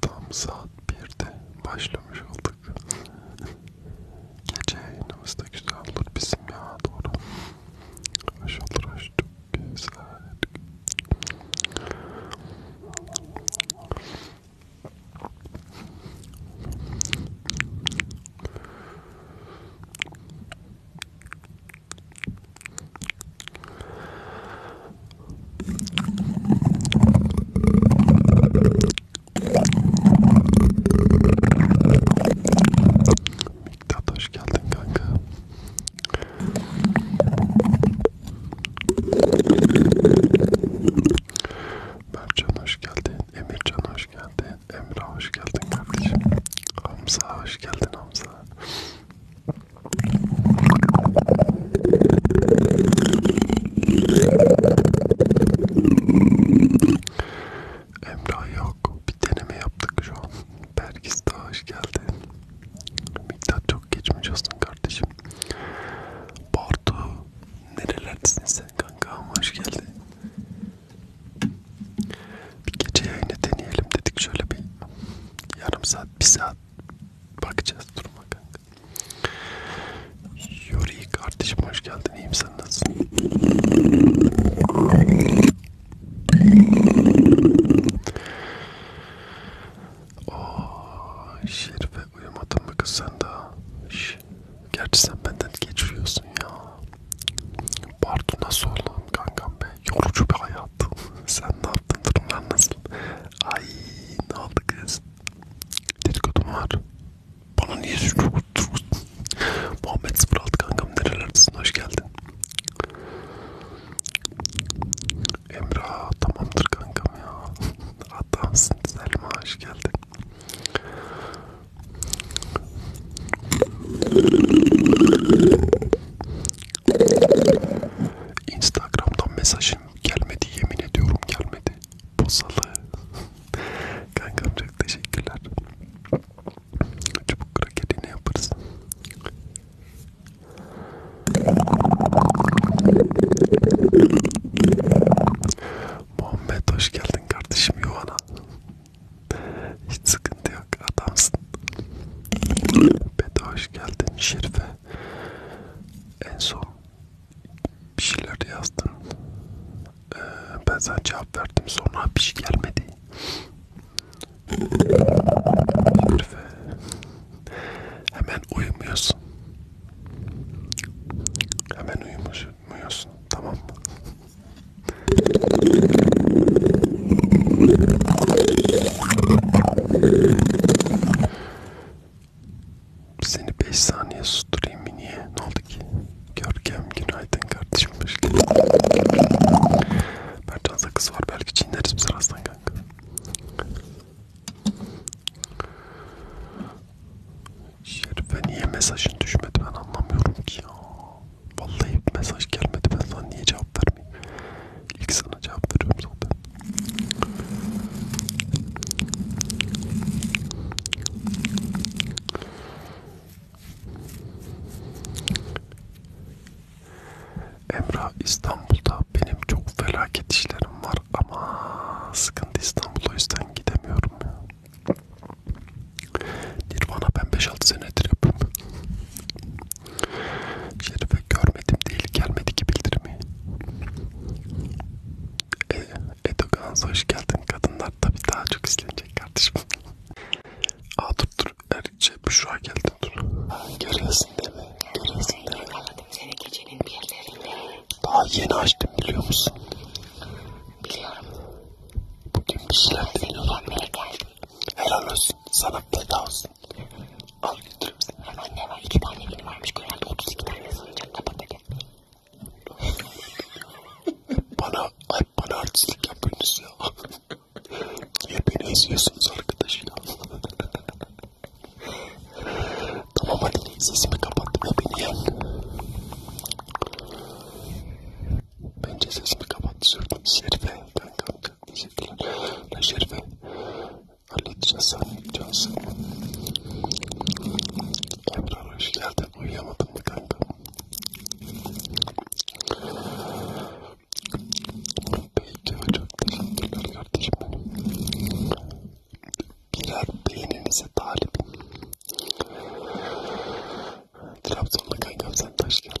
Tam saat 1'de başlamış olduk. Gece yayınımız da güzel olur bizim ya doğru. Hoş olur hoş çok güzel. Miktat hoş geldin kanka. Mercan hoş geldin, Emircan hoş geldin, Emre hoş geldin kardeşim. Hamza hoş geldin Hamza. Emrah yok. Bir deneme yaptık şu an. Berkis daha hoş geldi. Miktar çok geçmiş olsun kardeşim. Bartu nerelerdesin sen kanka? Hoş geldin. Bir gece yayını deneyelim dedik şöyle bir yarım saat, bir saat Bakacağız duruma kanka. Yuri kardeşim hoş geldin. İyiyim sen nasılsın? Ooo oh, Şerife uyumadın mı kız sen daha? Şş. Gerçi sen benden geç uyuyorsun ya. Pardon nasıl oldun kankam be? Yorucu bir hayat yaptın? Sen ne yaptın? Durumlar nasıl? Ay ne oldu kız? Dedikodu mu var? Bana niye suçlu Muhammed 06 kankam nerelerdesin? Hoş geldin. Emrah tamamdır kankam ya. Adamsın Selma hoş geldin. Instagram'dan mesajın gelmedi yemin ediyorum gelmedi. Bozalı. Kankam çok teşekkürler. Çubuk krakeri ne yaparız? Muhammed hoş geldin kardeşim Yuhan'a. Hiç sıkıntı yok adamsın. Beda hoş geldin Şerife en son bir şeyler yazdın. Ee, ben sana cevap verdim. Sonra bir şey gelmedi. Herife. Hemen uyumuyorsun. Hemen uyumuyorsun. Tamam mı? Seni 5 saniye susturayım mı niye? Ne oldu ki? Görkem günaydın kardeşim hoş geldin. Mercan sakız var belki çiğneriz biz arasından kanka. Şerife niye mesajın düşmedi ben anlamıyorum ki ya. Vallahi mesaj gelmedi ben sana niye cevap vermeyeyim. İlk sana cevap veriyorum zaten. Emrah İstanbul'da benim çok felaket işlerim var ama sıkıntı İstanbul'a yüzden gidemiyorum ya. Nirvana ben 5-6 senedir yapıyorum. Şerife gör görmedim değil gelmedi ki bildirimi. E, Edogans hoş geldin kadınlar tabi daha çok izlenecek kardeşim. Aa dur dur Erikçe şey, Büşra geldi dur. Görüyorsun değil mi? Görüyorsun değil mi? Seni gecenin bir yerlerinde. Daha yeni açtım biliyor musun? Biliyorum. Bugün bir şeyler deniyorum. Helal olsun sana bedava olsun. Al götürürüm seni. Hem anne var iki tane benim varmış. Herhalde 32 tane soracak. Kapat hadi. bana, ay bana artistlik yapıyorsunuz ya. Niye beni eziyorsunuz arkadaşıyla? tamam hadi sesimi kapattım ya beni yen. Bence sesimi kapattı sürdüm. Şerife kankam teşekkürler. Şerife halledeceğiz sen yapacağız. Emrah hoş geldin. Uyuyamadın mı kanka? Peki çok teşekkürler kardeşim benim. Birer beyninize talibim. Trabzonlu kankam sen de hoş geldin.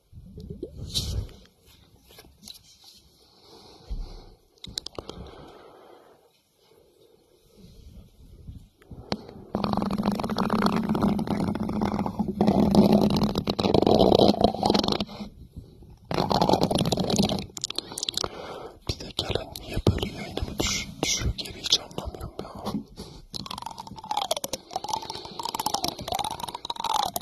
Bir de gelen niye böyle yayınımı düş düşüyor geri hiç anlamıyorum ya.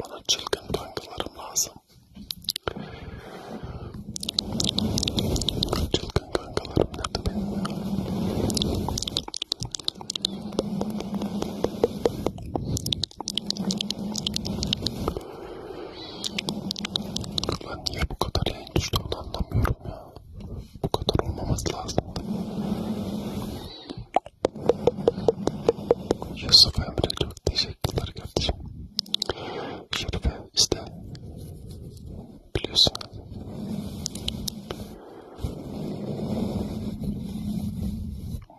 Bana çılgın kankalarım lazım. Çılgın kankalarım nerede benim ya? Lan niye bu kadar yayın düştü onu anlamıyorum ya. Bu kadar olmaması lazımdı. Yusuf Emre çok teşekkürler kardeşim. Şerife işte biliyorsun.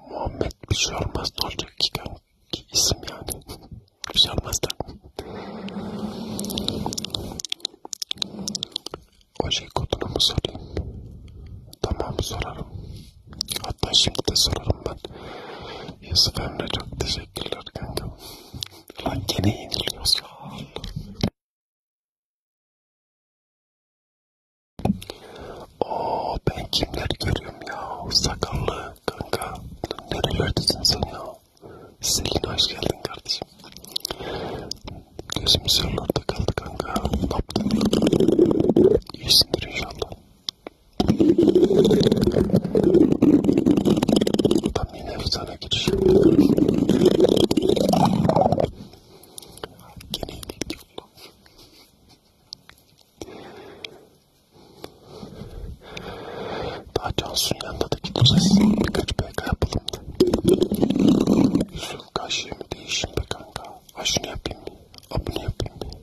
Muhammed bir şey olmaz ne olacak ki, ki isim yani. bir şey olmaz da. O şey kodunu mu sorayım? Tamam sorarım. Hatta şimdi de sorarım ben. Yusuf Emre çok teşekkürler kanka. Lan gene yeniliyoruz ya. Oo ben kimler görüyorum ya. Sakallı kanka. Nerelerdesin sen ya? Selin hoş geldin kardeşim. Gözümüz yollarda kaldı kanka. Ne yaptın? İyisindir inşallah. Tam yine efsane giriş. Gene iyilik yolla. Daha Cansu'nun yanında da gideceğiz. Birkaç PK yapalım da. Yüzün kaşığımı değişin be kanka. Ha şunu yapayım mı? Ha bunu yapayım mı?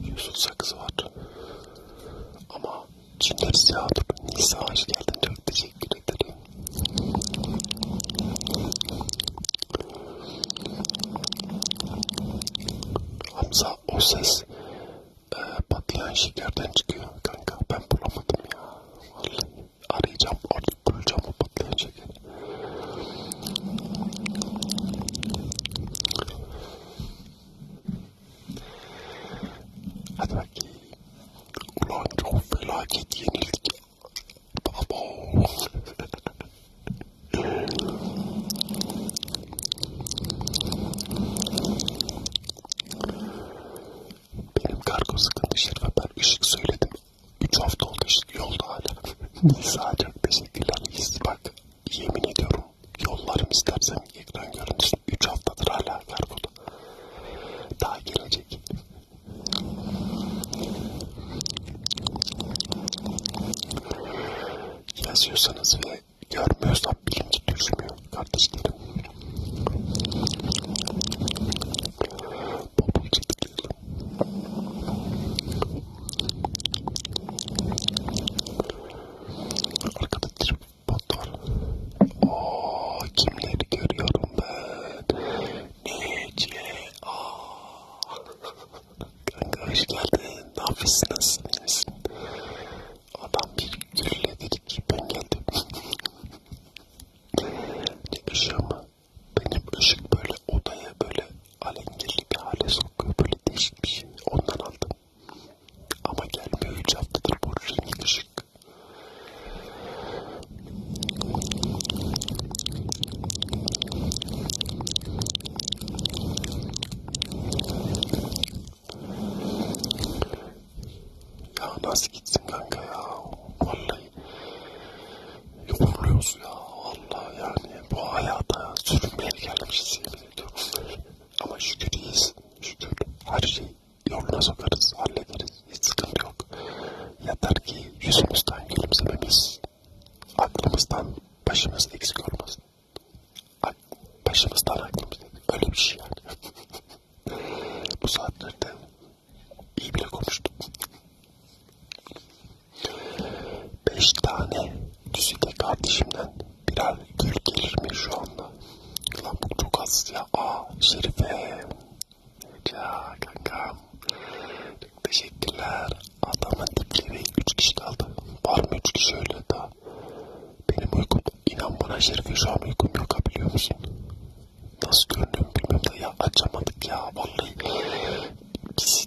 Yusuf sakızı var. Ama Cüneyt Siyadur, Nisa hoş geldin. Çok teşekkür ederim. Hamza o ses e, patlayan şekerden çıkıyor kanka. Ben bulamadım ya. Vallahi arayacağım, orada bulacağım o patlayan şekeri. Hadi bakayım. Ulan çok felaket yenildik. Babam. Benim kargo sıkıntı işleri ve ben ışık söyledim 3 hafta oldu işte yolda hala. Nisa çok teşekkürler. Bak yemin ediyorum yollarım istersen ekran görüntüsün. 3 haftadır hala kargoda. Daha gelecek. Yazıyorsanız ve görmüyorsa bilinci düşmüyor kardeşlerim. Bobul çıtıklı. Arkada tripod var. Ooo kimleri görüyorum ben. Ece. Kanka hoş geldin. Ne yapıyorsun? Nasılsın? İyi misin? Adam bir gürle dedi ki ben geldim. ne ışığı mı? benim ışık böyle odaya böyle alengirli bir hale sokuyor böyle değişik bir şey ondan aldım ama gelmiyor 3 haftadır bu renk ışık ya nasıl gitsin kanka ya vallahi Yoruluyoruz ya. Allah yani bu hayata sürünmeye gelmişiz yemin ediyorum. Ama şükür iyiyiz. Şükür her şeyi yoluna sokarız, hallederiz. Hiç sıkıntı yok. Yeter ki yüzümüzden gülümsememiz, aklımızdan başımız eksik olmasın. Ak başımızdan aklımızdan öyle bir şey yani. bu saatlerde iyi bile konuştum. Beş tane düzide kardeşimden birer gül gelir mi şu anda? Lan bu çok az ya. Aa Şerife. Ya kankam. Çok teşekkürler. Adamın dipleri 3 kişi kaldı. Var mı 3 kişi öyle daha? Benim uykum. İnan bana Şerife şu an uykum yok biliyor musun? Nasıl görünüyorum bilmiyorum da ya açamadık ya vallahi. Biz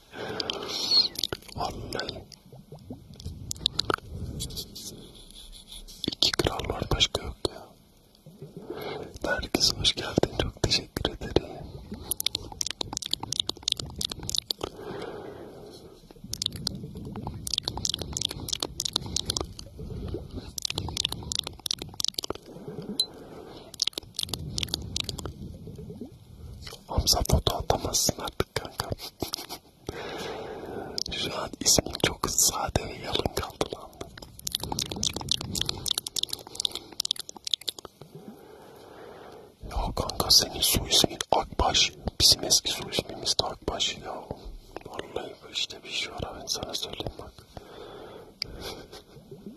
Vallahi. İki kral var başka yok ya. Herkese hoş geldin. Çok teşekkür ederim. Hamza foto atamazsın artık kanka. Şu an ismin çok sade ve yalın kaldı lan. Ya kanka senin su ismin Akbaş. Bizim eski su ismimiz de Akbaş ya. Vallahi işte bir şey var ben sana söyleyeyim bak.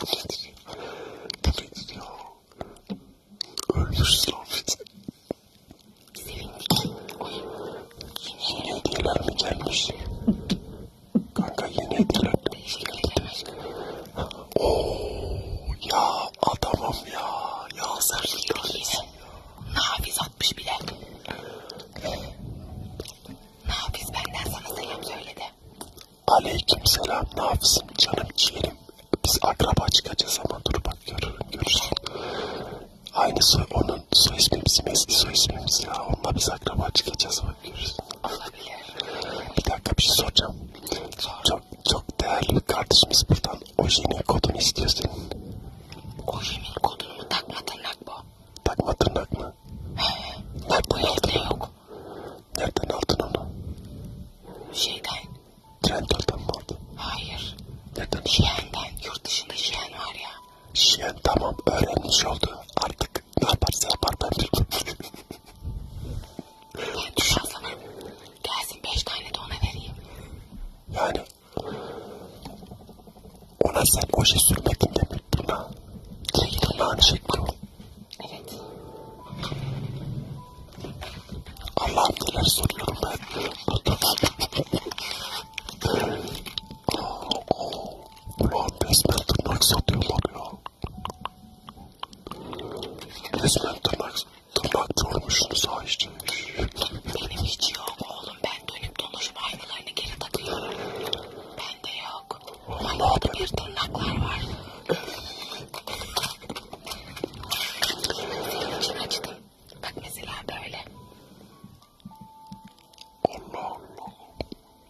Bu nedir? Bu nedir ya? Öldürsün lan Fidan. Yeni hediyeler mi gelmişti? Kanka yeni hediyeler mi geldi? Oo ya adamım ya. Ya sen bir tanesin. Nafiz atmış bile. Nafiz benden sana selam söyledi. Aleyküm selam. Ne yapsın canım ciğerim? Biz akraba çıkacağız ama dur bak görürüm görürsün. Aynı soy, onun soy ismi bizim eski soy ismimiz ya. Onunla biz akraba çıkacağız bak görürsün. Olabilir. Bir dakika bir şey soracağım. Sor. Çok, çok değerli kardeşimiz buradan ojini kodunu istiyor senin. Ojini kodunu mu? Takma tırnak bu. Takma tırnak mı? He. Nereden aldın? yok. Nereden aldın onu? Şeyden. Trendyol'dan mı aldın? Hayır. Nereden? Şiyen'den. Yurt dışında Şiyen var ya. Şiyen tamam öğrenmiş oldu. Artık ne yaparsa yapar ben bilmem. ben şey düşmezlemem. Gelsin beş tane de ona vereyim. Yani ona sen oje sürmedin de Buna. Tırnağın şekli o. Evet. Allah'ım neler soruyorum ben. Ulan resmen tırnak satıyorlar ya. Resmen tırnak, tırnak görmüşsünüz ha işte. Benim hiç yok oğlum. Ben dönüp dolaşıp aynılarını geri takıyorum. Bende yok çok mamut bir tırnaklar var. Senin için açtım. Bak mesela böyle. Allah Allah.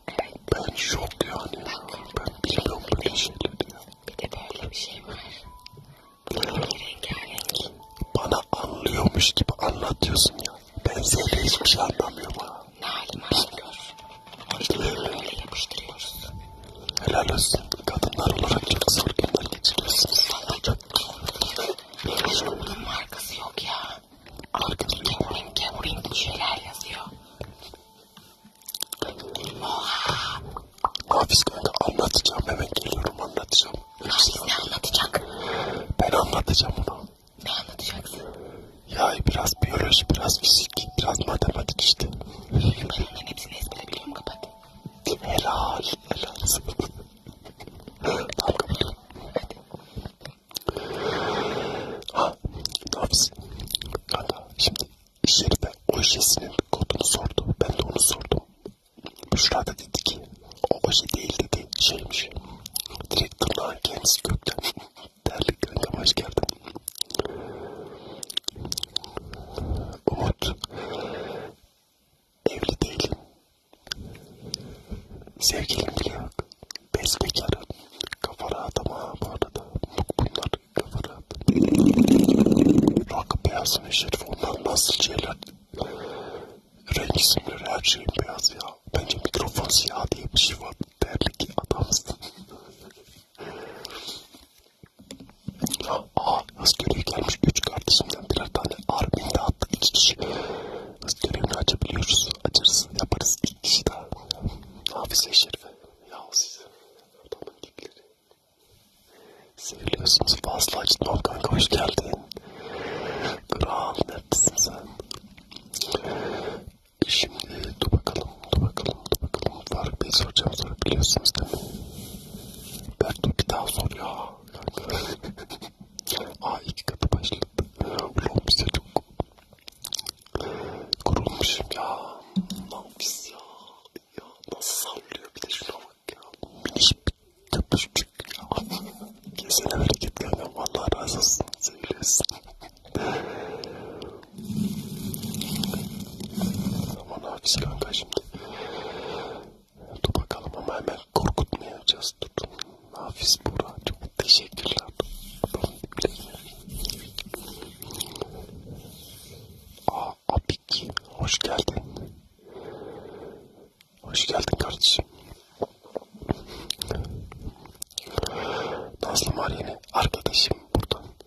Evet. Ben şok yani. Bak, ben bilmiyorum böyle şeyleri ya. Bir de böyle bir şey var. Bu da böyle rengarenk. Bana anlıyormuş gibi anlatıyorsun ya. Ben seninle hiçbir şey anlamıyorum ha. Ne halim varsa gör. İşte böyle yapıştırıyoruz. Helal olsun. Kadınlar olarak çok zor günler geçiriyorsunuz. Valla çok Benim aşkım bunun markası yok ya. Arkada Kevin Kevin bir şeyler yazıyor. Oha. Hafiz kanka anlatacağım hemen geliyorum anlatacağım. Hafiz ne anlatacak? Ben anlatacağım onu. Ne anlatacaksın? Ya biraz biyoloji, biraz fizik, biraz matematik işte. Bunların hepsini ezbere biliyorum kapat. Helal, helal. tamam kapatıyorum. Hadi. Ha, ne yapsın? Kanka şimdi iş yerine ojesinin kodunu sordu. Ben de onu sordum. Büşra da dedi ki o oje değil dedi şeymiş. Direkt tırnağın kendisi gökten. Değerli gönlüm hoş geldin. Umut. Evli değilim. Sevgilim bile yok. Besbekarım. Kafa rahat ama bu arada. Bunlar kafa rahat. Rakı beyaz meşerif. Onlar nasıl şeyler? Renk isimleri her şeyin beyaz ya. Bence mikrofon siyah diye bir şey var terlik adamsın. Aa, hız görevi gelmiş. Üç kardeşimden birer tane Armin'de attık iki kişi. Hız görevini açabiliyoruz. Açarız, yaparız iki kişi daha. Hafize Şerife. Ya siz adamın gibileri. Seviyorsunuz fazla açtım. Kanka hoş geldin. Kral neredesin sen? Şimdi dur bakalım, dur bakalım, dur bakalım. Faruk Bey soracağım soru biliyorsunuz değil mi? Bertu bir daha sor ya. Aa iki katı başladı. Ulan bize çok kurulmuşum ya. Nafis ya. Ya nasıl sallıyor bir de şuna bak ya. Miniş köpüşçük ya. Kesene hareket gelmem. Allah razı olsun. Seviyorsun. Aman hafız kanka şimdi. Dur bakalım ama hemen korkutmayacağız. Dur. Hafız Burak çok teşekkürler. Adamın diplerine. Aa Abik hoş geldin. Hoş geldin kardeşim. Nazlı Maryeni arkadaşım buradan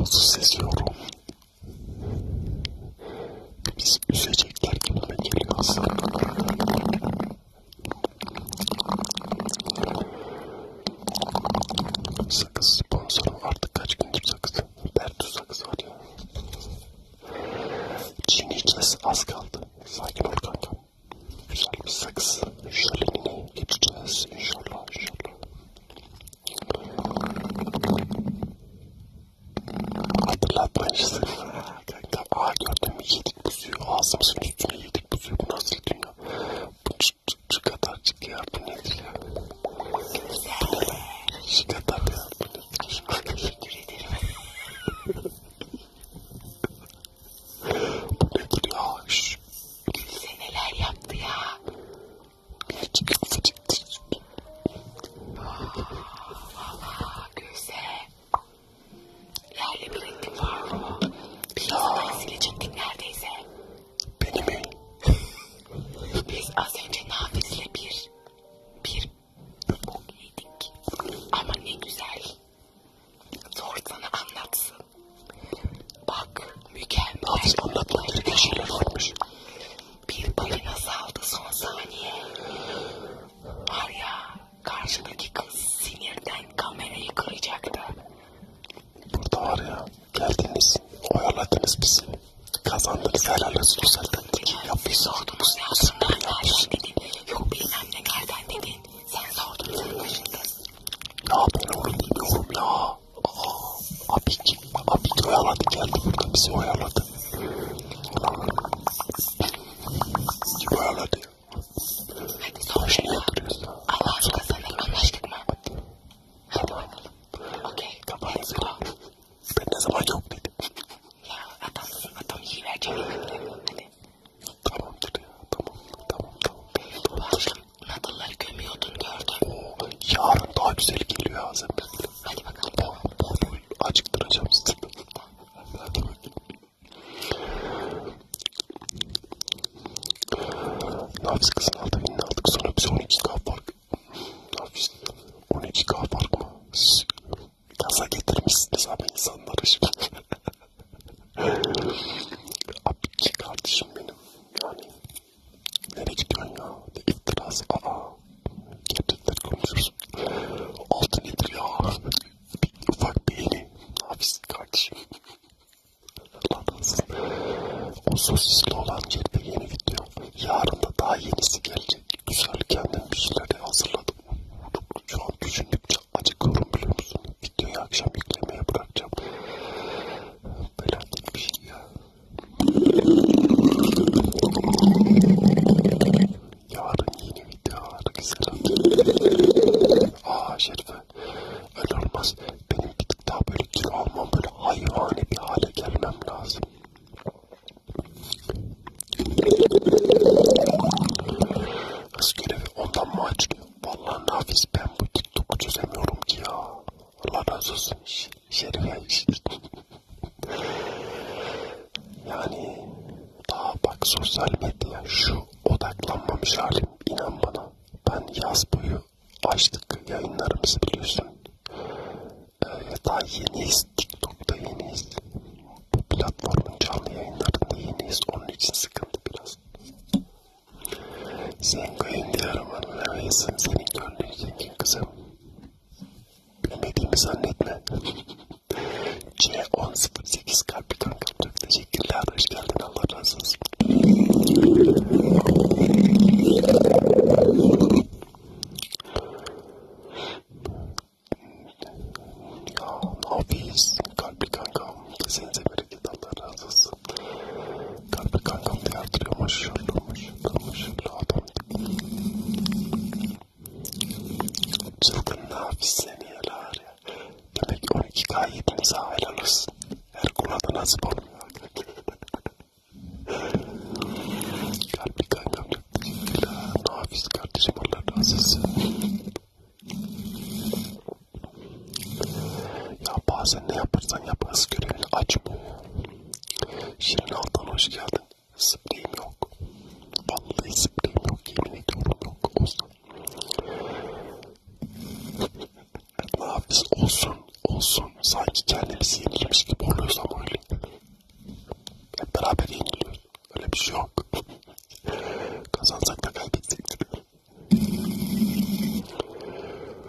Nasıl seziyorum? Biz üzecekler gibi ve geliyoruz. Sakız sponsorum artık kaç gündür sakız. Bertu sakız var ya. Çin'i kes az kaldı. Sakin ol kanka. Güzel bir sakız. Şölenine geçeceğiz. İnşallah inşallah. Hatırlatma işte. Kanka aa gördün mü yedik bu suyu. Ağzımızın üstüne yedik bu suyu. Bu nasıl dünya? Bu çık çık çık kadar çık ya. Bu nedir ya? Bu ne lan? Şu kadar ya. Bu nedir? Teşekkür ederim. bu nedir ya? Şu kim bize neler yaptı ya? Küçük küçük küçük. Valla Gülse. Yerle bir ettim var mı? Piyasadan silecektik neredeyse. Beni mi? Biz az önce Nafiz'le bir, bir bok yedik. Ama ne güzel. Zor sana anlatsın. Bak mükemmel. Anlatmak gibi şeyler varmış. Bir balina saldı son saniye. Var ya karşıdaki kız sinirden kamerayı kıracaktı. Burada var ya geldiniz oyaladınız bizi. Kazandınız helal olsun uzattınız. Ya biz sordunuz ya aslında nereden dedin. Yok bilmem ne nereden dedin. Sen sordun sen başındasın. Ya ben oğlum biliyorum ya. Abik, Abik oyaladı geldi burada bizi oyaladı. Kim oyaladı? Baş niye duruyorsun? Allah aşkına seninle anlaştık mı? Hadi oynayalım. Okey. Kapat seni. Ben ne zaman yok dedim. Ya adamsın adam iyi verecek. Hadi. Tamamdır ya tamam tamam tamam. Bu akşam Nadalları gömüyordun gördüm. Yarın daha güzel geliyor ağzım. Hadi bakalım. Bol bol acıktıracağım sizi. Hadi bakalım. Nafis kızın altı binini aldık. Sonra biz 12k fark. Nafis 12k fark mı? Siz gaza getirmişsiniz abi insanları şimdi. abi ki kardeşim benim. Yani Nereye gidiyorsun ya? Ne iftirası? Aa. Gerçekten konuşuruz. Altı nedir ya? Bir ufak beğeni. Ne yapıyorsun kardeşim? Allah'ınızın. O sosisli olan yerde yeni video. Yarın da daha yenisi gelecek. Güzel kendim bir şeyler hazırladım. Şu an düşündükçe acıkıyorum biliyor musun? Videoyu akşam yüklemeye bırakacağım. Allah felaket bir şey ya. Yarın yeni video var selam. Aa Şerife öyle olmaz. Benim bir tık daha böyle kilo almam böyle hayvani bir hale gelmem lazım. Kız görevi ondan mı açılıyor? Vallahi nafis ben bu TikTok'u çözemiyorum ki ya. Allah razı olsun. Şerife Yani daha bak sosyal medya şu odaklanmamış halim inan bana. Ben yaz boyu açtık yayınlarımızı biliyorsun. Ee, daha yeniyiz. TikTok'ta yeniyiz. Bu platformun canlı yayınlarında yeniyiz. Onun için sıkıntı biraz. Sen kayın diğer amanı vermeyesin. Seni gönderecek kızım. Bilmediğimi zannetme. C1008 kalp kanka. Çok teşekkürler. Hoş geldin. Allah razı olsun. ya nafis kalpli kankam. Kesinize Teşekkür Allah razı olsun. Kalbi kankam diye artırıyor maşallah maşallah maşallah adam. Çılgın nafisleniyorlar ya. Demek 12K yedinize helal olsun. Her kula da nasip olmuyor. Kalbi kankam çok teşekkürler. Nafiz kardeşim Allah razı olsun. Ya bazen ne yaparsan yap hız görevini açmıyor ya. Şirin Altan hoş geldin. Spreyim yok. Vallahi spreyim yok. Yemin ediyorum yok. Olsun. ne yapacağız? Olsun. Olsun. Sanki kendimizi yenilmiş gibi oluyoruz ama öyle. Hep beraber yeniliyoruz. Öyle bir şey yok. Kazansak da kaybetsek.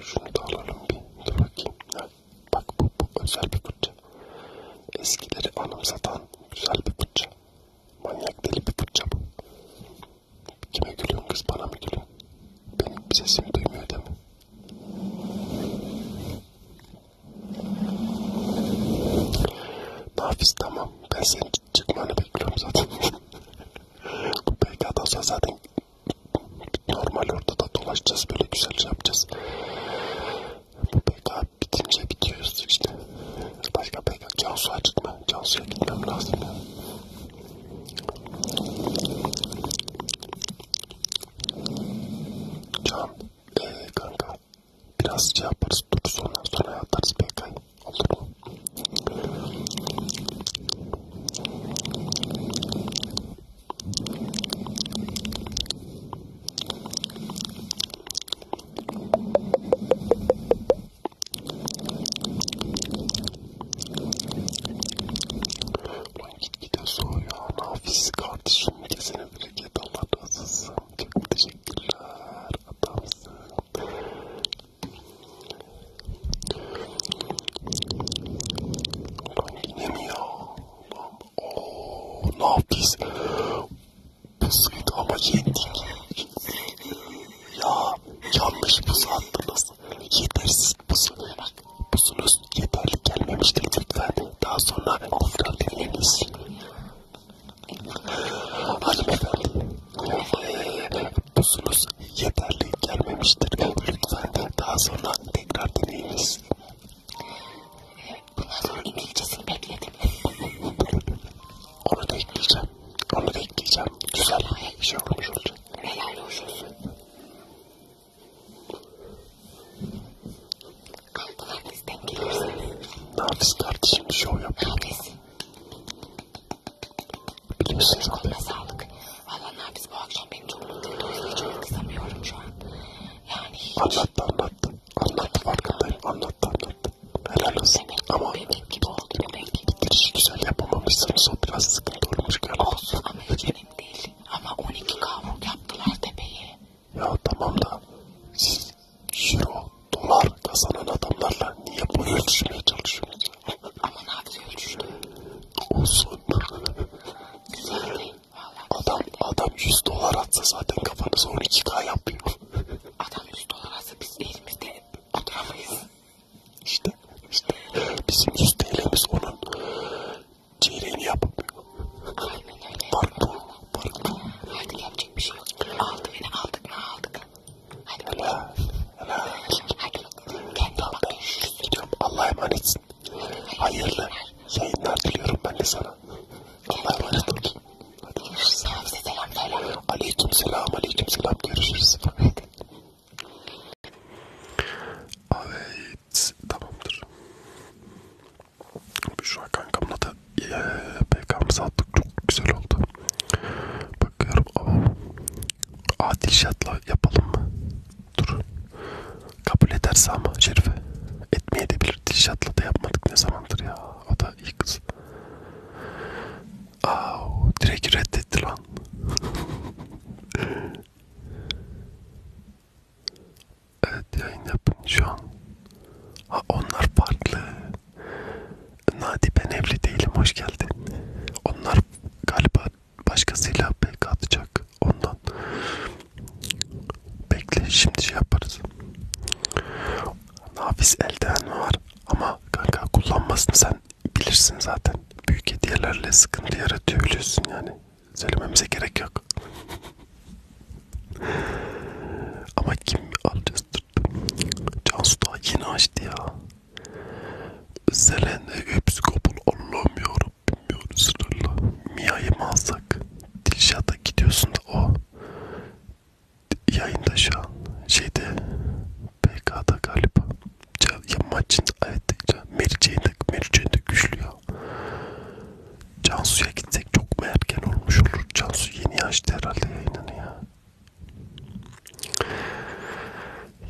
Şunu da alalım bir. Dur bakayım. Ha, bak bu, bu özel bir fırça. Eskileri anımsatan güzel bir fırça. Manyak deli bir fırça bu. Kime gülüyorsun kız bana mı gülüyorsun? Benim sesimi duymuyor değil mi? Nafiz tamam ben seni çıkmanı bekliyorum zaten. Bu PK'dan sonra zaten normal ortada dolaşacağız böyle güzel şey yapacağız. Bu PK bitince bitiyoruz işte. Başka PK Cansu'ya çıkma. Cansu'ya gitmem lazım ya. Yani. Can, ee, kanka biraz şey yaparız, dururuz ondan sonra atarız PK'yı. Ulan gitgide soğuyor. Nafis kardeşim. Kesene bereket. Allah razı olsun. Çok teşekkürler. Adamsın. Lan yine mi ya? Lan ooo ne yaptıyız? Pusuydu ama yendik. ya yanlış pusu attınız. Yetersiz pusu. Pusunuz yeterli gelmemiştir lütfen. Daha sonra tekrar deneyiniz. Hanımefendi. Pusunuz yeterli gelmemiştir. Lütfen daha sonra tekrar deneyiniz. Bundan sonra İngilizcesini bekledim. Onu da ekleyeceğim. Onu da ekleyeceğim. Güzel bir şey olmuş olacak. Helal hoş olsun. Kalkılarınızdan gelirsiniz. Nafis kardeşim şov yapıyor. Nafis. Kimsiniz koluna sağlık. Valla Nafiz bu akşam beni çok mutlu etti. O yüzden hiç onu kızamıyorum şu an. Yani hiç. Anlattı anlattı. Anlattı farkındayım. Anlattı anlattı. Helal olsun. Bebek, ama bebek gibi oldu bebek. Girişi güzel yapamamışsınız. O biraz sıkıntı olmuş galiba. Olsun ama hiç önemli değil. Ama 12 kavruk yaptılar tepeye. Ya tamam da siz euro, dolar kazanan adamlarla niye bu ölçümeye çalışıyorsunuz? Ama nadir ölçüştü. Olsun. Güzeldi. Vallahi adam, güzeldi. adam 100 dolar atsa zaten kafanız 12k yapıyor. Adam 100 dolar atsa biz elimizde oturamayız. İşte, işte bizim 100 TL'miz onun çeyreğini yapmıyor. Aynen öyle. Fark bu, fark bu. Artık yapacak bir şey yok. Aldı beni, aldık mı aldık. Hadi Ela. Ela. Hadi. Tamam ben gidiyorum. Allah'a emanetsin. Hayırlı yayınlar diliyorum ben de sana. Allah'a emanet ol. Hadi görüşürüz. Selam selam. Aleyküm selam. Aleyküm selam. Görüşürüz. Hadi. Evet. Tamamdır. Şu an kankamla da PK'mızı attık. Çok güzel oldu. Bakıyorum. Ama Adil şartla yapalım mı? Dur. Kabul ederse ama Şerife. Etmeye de bilir. Dilşat'la da yapmadık ne zamandır ya. O da iyi kız. Aa, direkt reddetti lan. evet yayın yapın şu an. Ha, onlar farklı. Nadi ben evli değilim hoş geldin. Onlar galiba başkasıyla pek atacak ondan bekle şimdi şey yaparız nafis eldiven var ama kanka kullanmasını sen bilirsin zaten büyük hediyelerle sıkıntı yaratıyor biliyorsun yani söylememize gerek yok ama kim alacağız Cansu daha yeni açtı ya Selene hepsi kabul Allah'ım yarabbim ya Resulallah. Mia'yı mı alsak? Dilşat'a gidiyorsun da o. Yayında şu an. Şeyde PK'da galiba. Ya maçın evet. Meriç'in Meriç'in de güçlü ya. Cansu'ya gitsek çok mu erken olmuş olur? Cansu yeni açtı herhalde yayınını ya.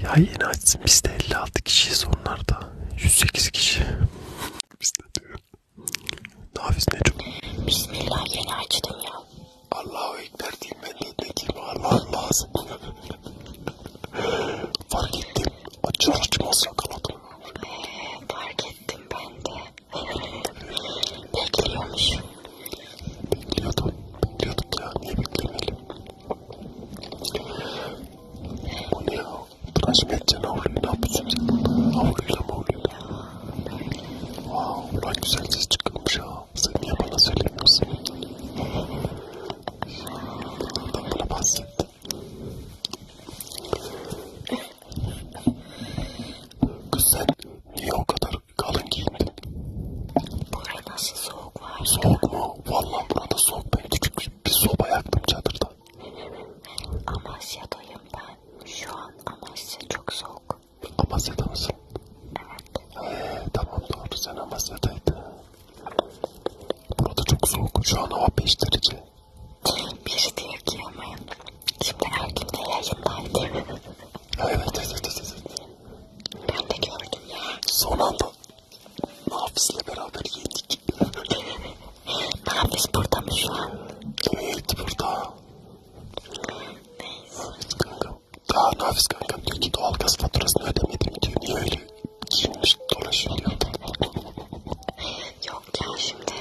Ya yeni açsın biz de 56 kişiyiz onlarda. 108 kişi. biz de diyor. Nafiz ne çok? Bismillah yeni açtım ya. Allahu Ekber diyeyim ben de ne diyeyim Allah lazım. Fark ettim. Açar açmaz yakaladım. Ee, fark ettim ben de. Bekliyormuş. Bekliyordum. Bekliyorduk ya. Niye beklemeyelim? Bu ne ya? Tıraş mı edeceksin havluyu? Ne yapıyorsun sen? Havluyla mı havluyla? Wow, ulan güzel ses çıkıyormuş ya. Sen niye bana söylemiyorsun? Ben bana bahsettim. Kız sen niye o kadar kalın giyindin? Burada nasıl soğuk var? Soğuk mu? Valla burada soğuk. Ben küçük bir, bir soba yaktım çadırda. Amasya'dayım ben. Şu an Amasya çok soğuk. Amasya'da mısın? Evet. Ee, tamam doğru sen Amasya'daydın. Burada çok soğuk. Şu an hava 5 derece. Bir diye girmeyin. Şimdi Erkin de yayındaydı. evet, evet, evet, evet. Ben de gördüm ya. Son anda Hafız'la beraber yedik. Hafız burada mı şu an? Evet burada. Neyse. Hafız kankam. Aa Hafız kankam diyor ki doğalgaz faturasını ödemedim diyor. Niye öyle giyinmiş dolaşıyor diyor. Yok ya şimdi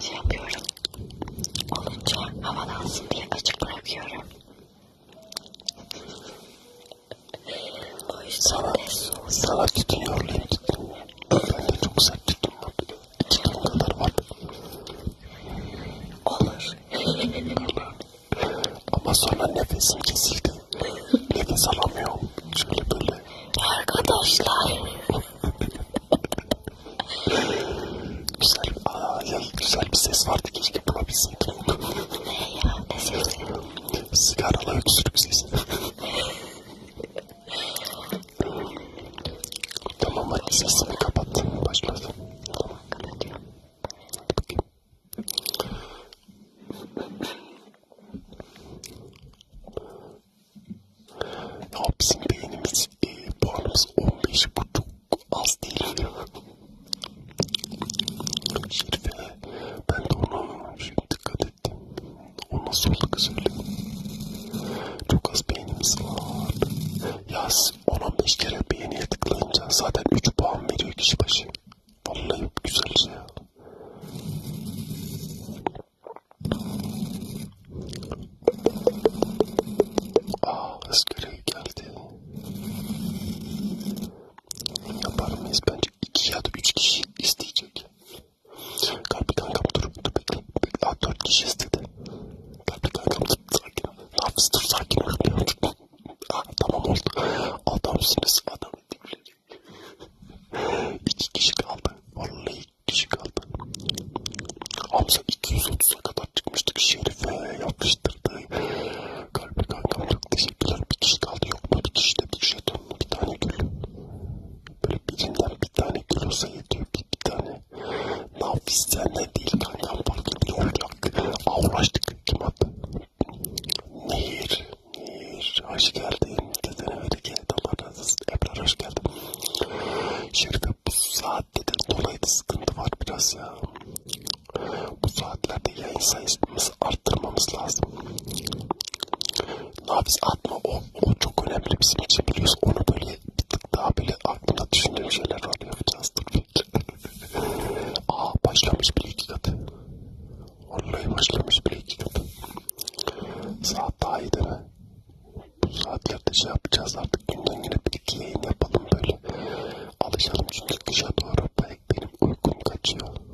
şey yapıyorum. Olunca havalansın diye açık bırakıyorum o yüzden de soğuk. Sana tutuyorlar. Ben de çok sert tuttum. İki ton kadar var. Olur. Ama sonra nefesim kesildi. Nefes alamıyorum. Şöyle böyle. Arkadaşlar. güzel, aa, ya, güzel bir ses vardı. Keşke bulabilseydim. ne ya? Ne sesi? Sigaralı öksürük sesi. tamam hadi sesini kapat. Başladı. Tamam kapatıyorum. Hapsin beynimiz e, puanımız 15 bu çok az değil. Şerife ben de ona şimdi dikkat ettim. O nasıl oldu kız öyle? Çok az beğenimiz var. Yaz 10-15 kere beğeniye tıklayınca zaten 3 puan veriyor kişi başı. Vallahi güzel şey ya. Aa, ıskırığı geldi yapar mıyız? Bence iki ya da üç kişi isteyecek. Kalpli kankam dur, dur bekle. Daha dört kişi istedi. Kalpli kankam dur, sakin ol. Nafis dur, sakin ol. ah, tamam oldu. Adamsınız, adam edimleri. iki kişi kaldı. Vallahi iki kişi kaldı. Hamza 230'a kadar çıkmıştık şerife yapıştı kaldırdı. Kalbi kankam çok teşekkürler. Bir kişi kaldı yok mu? Bir kişi de bir jeton mu? Bir tane gül. Böyle birinden bir tane gül olsa yetiyor. Bir, bir tane. Nafis senden değil kankam. Farklı bir olacak. Aa uğraştık. Kim attı? Nehir. Nehir. Hoş geldin. Dedene öyle geldi. Allah razı olsun. Ebrar hoş geldin. Şerife bu saatte de dolayı sıkıntı var biraz ya. Bu saatlerde yayın sayısını arttırmamız lazım. Nabız atma o, o çok önemli bizim için biliyoruz. Onu böyle bir tık daha böyle aklımda düşündüğüm şeyler var. Yapacağız dur Aa başlamış bile iki katı. Vallahi başlamış bile iki katı. Saat daha iyi değil mi? Bu saatlerde şey yapacağız artık günden güne bir iki yayın yapalım böyle. Alışalım çünkü kışa doğru benim uykum kaçıyor.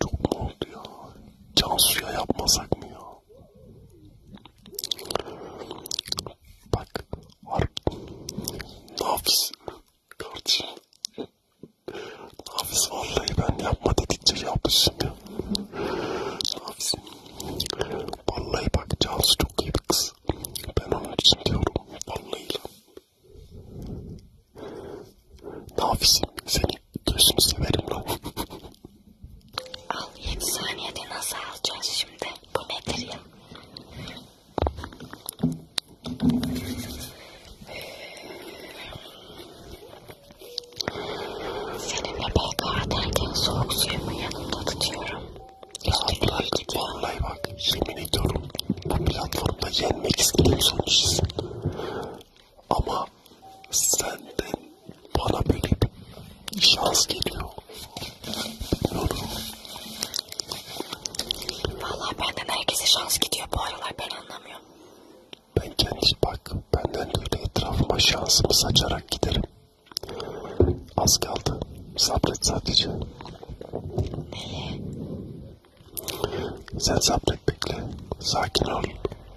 Çok oldu ya. Cansu'ya yapmasak mı ya? Bak. Harp. Nafis. Kardeşim. Nafis vallahi ben yapma dedikçe yapmışım ya. Nafis. Vallahi bak Cansu çok iyi bir kız. Ben onun için diyorum. Vallahi. Nafisim. Seni Gözünü severim lan. Al 7 saniyede nasıl alacağız şimdi? Bu nedir ya? Seninle PK atarken soğuk suyumu yanımda tutuyorum. Abla vallahi bak yemin ediyorum bu platformda yenmek istediğim sonuçsun. Ama senden bana böyle bir şans geliyor. Bilmiyorum. Valla benden herkese şans gidiyor bu aralar ben anlamıyorum. Ben kendi bak benden böyle etrafıma şansımı saçarak giderim. Az kaldı. Sabret sadece. Neye? Sen sabret bekle. Sakin ol.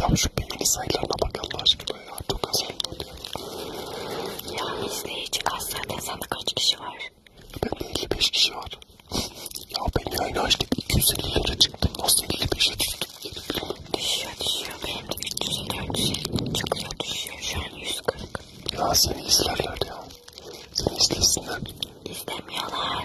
Ya şu beğeni sayılarına bak Allah aşkına ya. Çok az oldu ya. Ya izleyici kaç zaten sana kaç kişi var? Bende 55 kişi var. ya ben yayını açtım 250'lere çıktım. Nasıl 55'e düştüm? Düşüyor düşüyor. Benim de 300'e 400'e çıkıyor düşüyor. Şu an 140. Ya seni izlerler ya. Seni izlesinler. İstemiyorlar.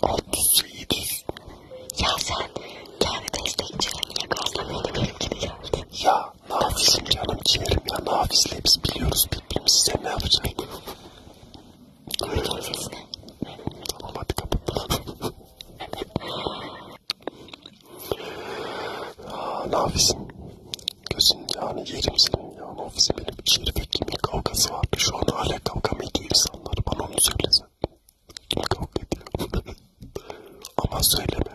37. Ya sen kendi destekçilerini karşılamadın benim gibi geldi. Ya Nafis'im canım ciğerim ya Nafis'le biz biliyoruz birbirimizi sen ne yapacaksın? Göreceğim sesini. Tamam hadi kapat. Nafis'im gözün yani yerim senin. Yani ofise benim şerife kimin kavgası vardı. Şu an hala kavga mı ediyor insanlar? Bana onu söylesen. Kim kavga ediyor? Ama söyleme.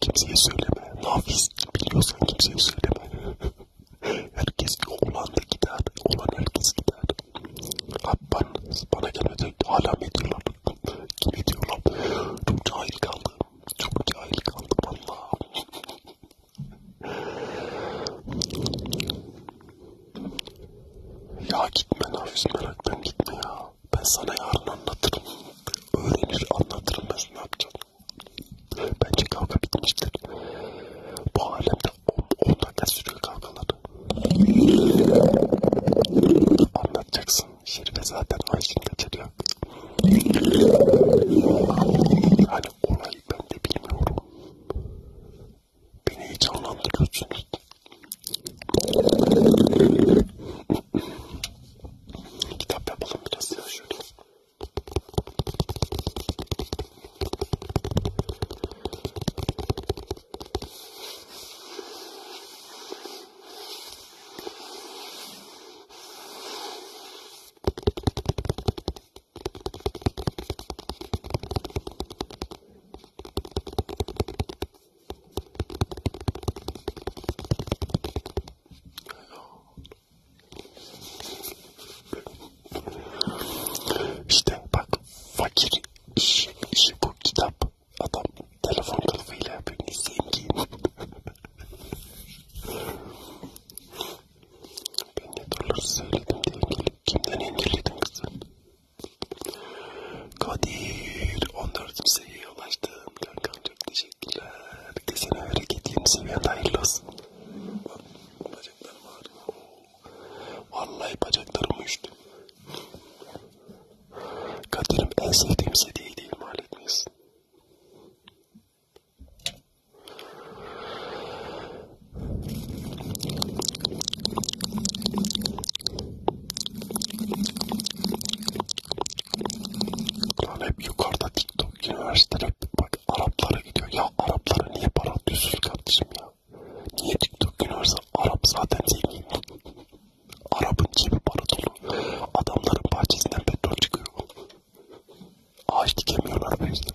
Kimseye söyleme. Nafiz biliyorsan kimseye söyleme. herkes olan da gider. Olan herkes gider. Abi ben, bana gelmedi. Hala mı ediyorlar? Kim ediyorlar? Çok cahil kaldım. Çok cahil kaldım. Vallahi. Ya gitme Nafiz meraktan gitme ya. Ben sana yarın anlatırım. Öğrenir anlatırım ben ne yapacağım. Bence kavga bitmiştir. Bu alemde 10 dakika sürüyor kavgalar. Anlatacaksın. Şerife zaten Ayşin kaçırıyor. Hani olay ben de bilmiyorum. Beni heyecanlandırıyorsunuz. Kitap yapalım biraz ya şöyle. İşte bak fakir iş, işi bu kitap adam telefon kılıfıyla yapıyor. Neyse Ben ne doları söyledim diye gelip kimden engelledim kızım? Kadir 14. seviyeye ulaştım. Kankam çok teşekkürler. Bir de sana hareket 20 seviyende hayırlı olsun. Bak bacaklarım ağrıyor. Vallahi bacaklarım uyuştu. Kadir'im en sevdiğim seviyeyi değil mal etmeyiz. Lan hep yukarıda TikTok üniversiteler hep bak Araplara gidiyor. Ya Araplara niye para atıyorsunuz kardeşim ya? Niye TikTok üniversite? Arap zaten zengin. Arap'ın cebi para dolu. Adamların bahçesinden petrol çıkıyor. Ağaç dikemiyorlar bu yüzden.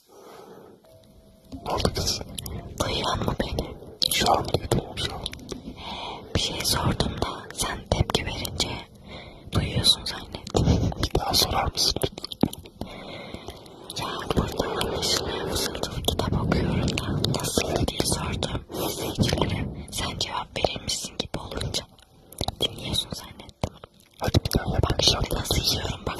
Ne oldu kız? Duyuyor mu beni? Şu an duydum şu an. Bir şey sordum da sen tepki verince duyuyorsun zannettim. Bir daha sorar mısın lütfen? Ya burada anlaşılıyor fısıltılı kitap okuyorum da nasıl diye sordum. Sevgilim sen cevap verirmişsin gibi olunca dinliyorsun zannettim. Hadi bir daha yap. Bak şimdi nasıl yiyorum bak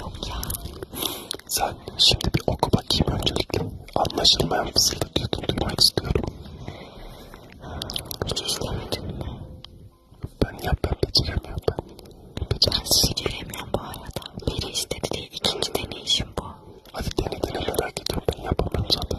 Yok ya. Sen şimdi bir oku bakayım öncelikle. Anlaşılmayan fısıldatıyordun duymak istiyorum. Hiç istemedin mi? Ben yap ben beceremiyorum ben. Ben beceremiyorum bu arada. Biri istedi diye ikinci deneyişim bu. Hadi dene dene merak ediyorum ben yapamıyorum zaten.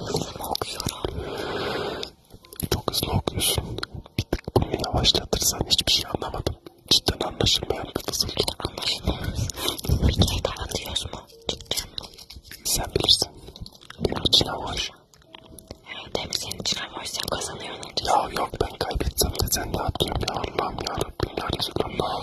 Yazımı okuyorum. Çok hızlı okuyorsun. Bir tık bunu yavaşlatırsan hiçbir şey anlamadım. Cidden anlaşılmayan kızısın. Anlaşılmaz. Bir kere daha atıyoruz mu? Cidden mi? Sen bilirsin. Benim için hoş. Evet hem senin için hoş sen kazanıyorsun. Ya yok ben kaybetsem de sen ne yapıyorsun ya Allah'ım ya Rabbim ya Resulallah.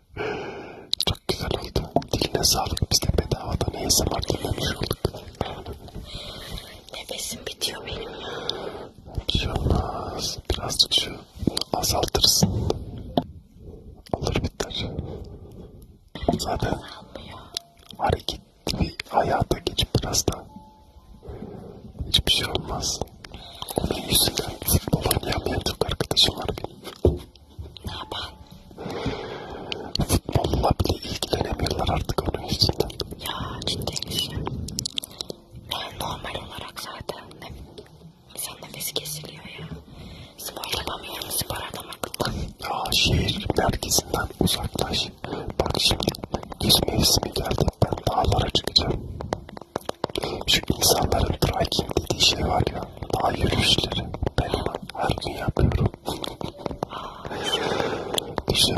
Çok güzel oldu. Diline sağlık. Biz de bedavadan ASMR dinlemiş olduk. Nefesim bitiyor benim ya. Bir şey olmaz. Birazcık şu azaltırsın. Olur biter. Zaten hareketli bir hayata geçip biraz da hiçbir şey olmaz. Onun yüzünden futbol oynayamayan çok arkadaşım var benim. Ne yapan? Futbolla bile ilgilenemiyorlar artık onun yüzünden. Ya ciddi şey. Ben normal olarak zaten ne, insan nefesi kesiliyor ya. Spor yapamıyorum spor adam akıllı. Ya şehir merkezinden uzaklaş. Bak şimdi yüz mevsimi geldi ben dağlara çıkacağım. Şu insanların trekking dediği şey var ya. Ay yürüyüşleri benim her gün yapıyorum. Düşün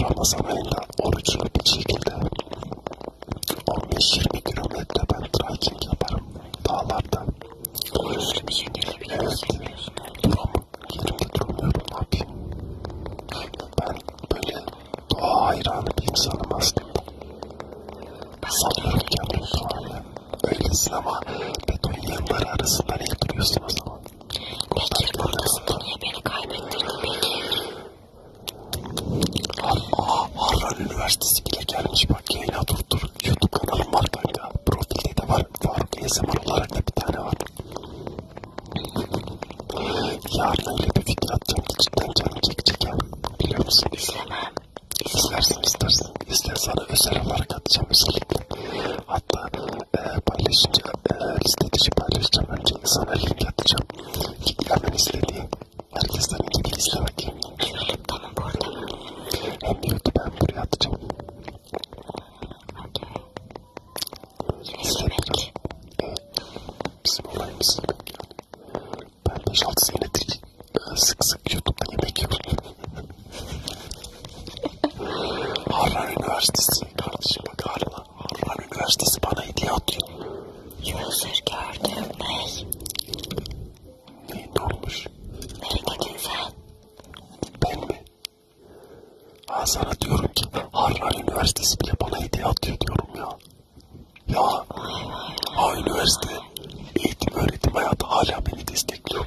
Ramazan ayında oruçlu bir şekilde 15-20 kilometre ben trekking yaparım dağlarda. Oruçlu bir şekilde bir evet. Duramam. Yerimde duramıyorum abi. Ben böyle doğa hayranı bir insanım aslında. Ben sanıyorum ki bu sualı öylesin ama beton yığınları arasında ne duruyorsun o zaman? Peki bu nasıl niye beni kaybettirdin peki? Har Aa, Harran Üniversitesi bile gelmiş bak yayına dur dur. Youtube kanalım var kanka. Profilde de var. Faruk ASMR olarak da bir tane var. Yarın öyle bir fikir atacağım ki cidden canım çekecek ya. Biliyor musun? İzlemem. İzlersin istersin. İster sana özel olarak atacağım özellikle. Hatta e, paylaşınca e, listeci paylaşacağım. Önce sana link atacağım. Ki hemen izle diye. Herkesten ilgili izlemek. Tamam bu arada. Hem YouTube'a hem buraya atacağım. Okay. İzlemek. Evet. Bizim olayımız. Ben 5-6 senedir sık sık YouTube'da yemek yiyor. Harran Üniversitesi kardeşim bak Harran. Harran Üniversitesi bana hediye atıyor. User gördüm ney? Ney ne olmuş? Nereye gidin sen? Ben mi? Ha sana diyorum ki Harran Üniversitesi bile bana hediye atıyor diyorum ya. Ya. Ha üniversite. Eğitim öğretim hayatı hala beni destekliyor.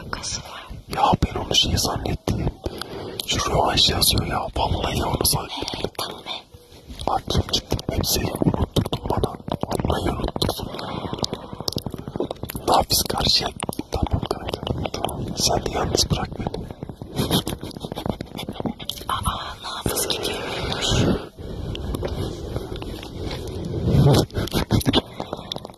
alakası var? Ya ben onu şey zannettim. Şu rövanş yazıyor ya. Vallahi onu zannettim. Evet tamam be. Aklım gitti. Hep seni unutturdun bana. Vallahi unutturdun. Nafis karşıya. Tamam kanka. Tamam. Sen de yalnız bırak beni. Aa nafis gidiyormuş.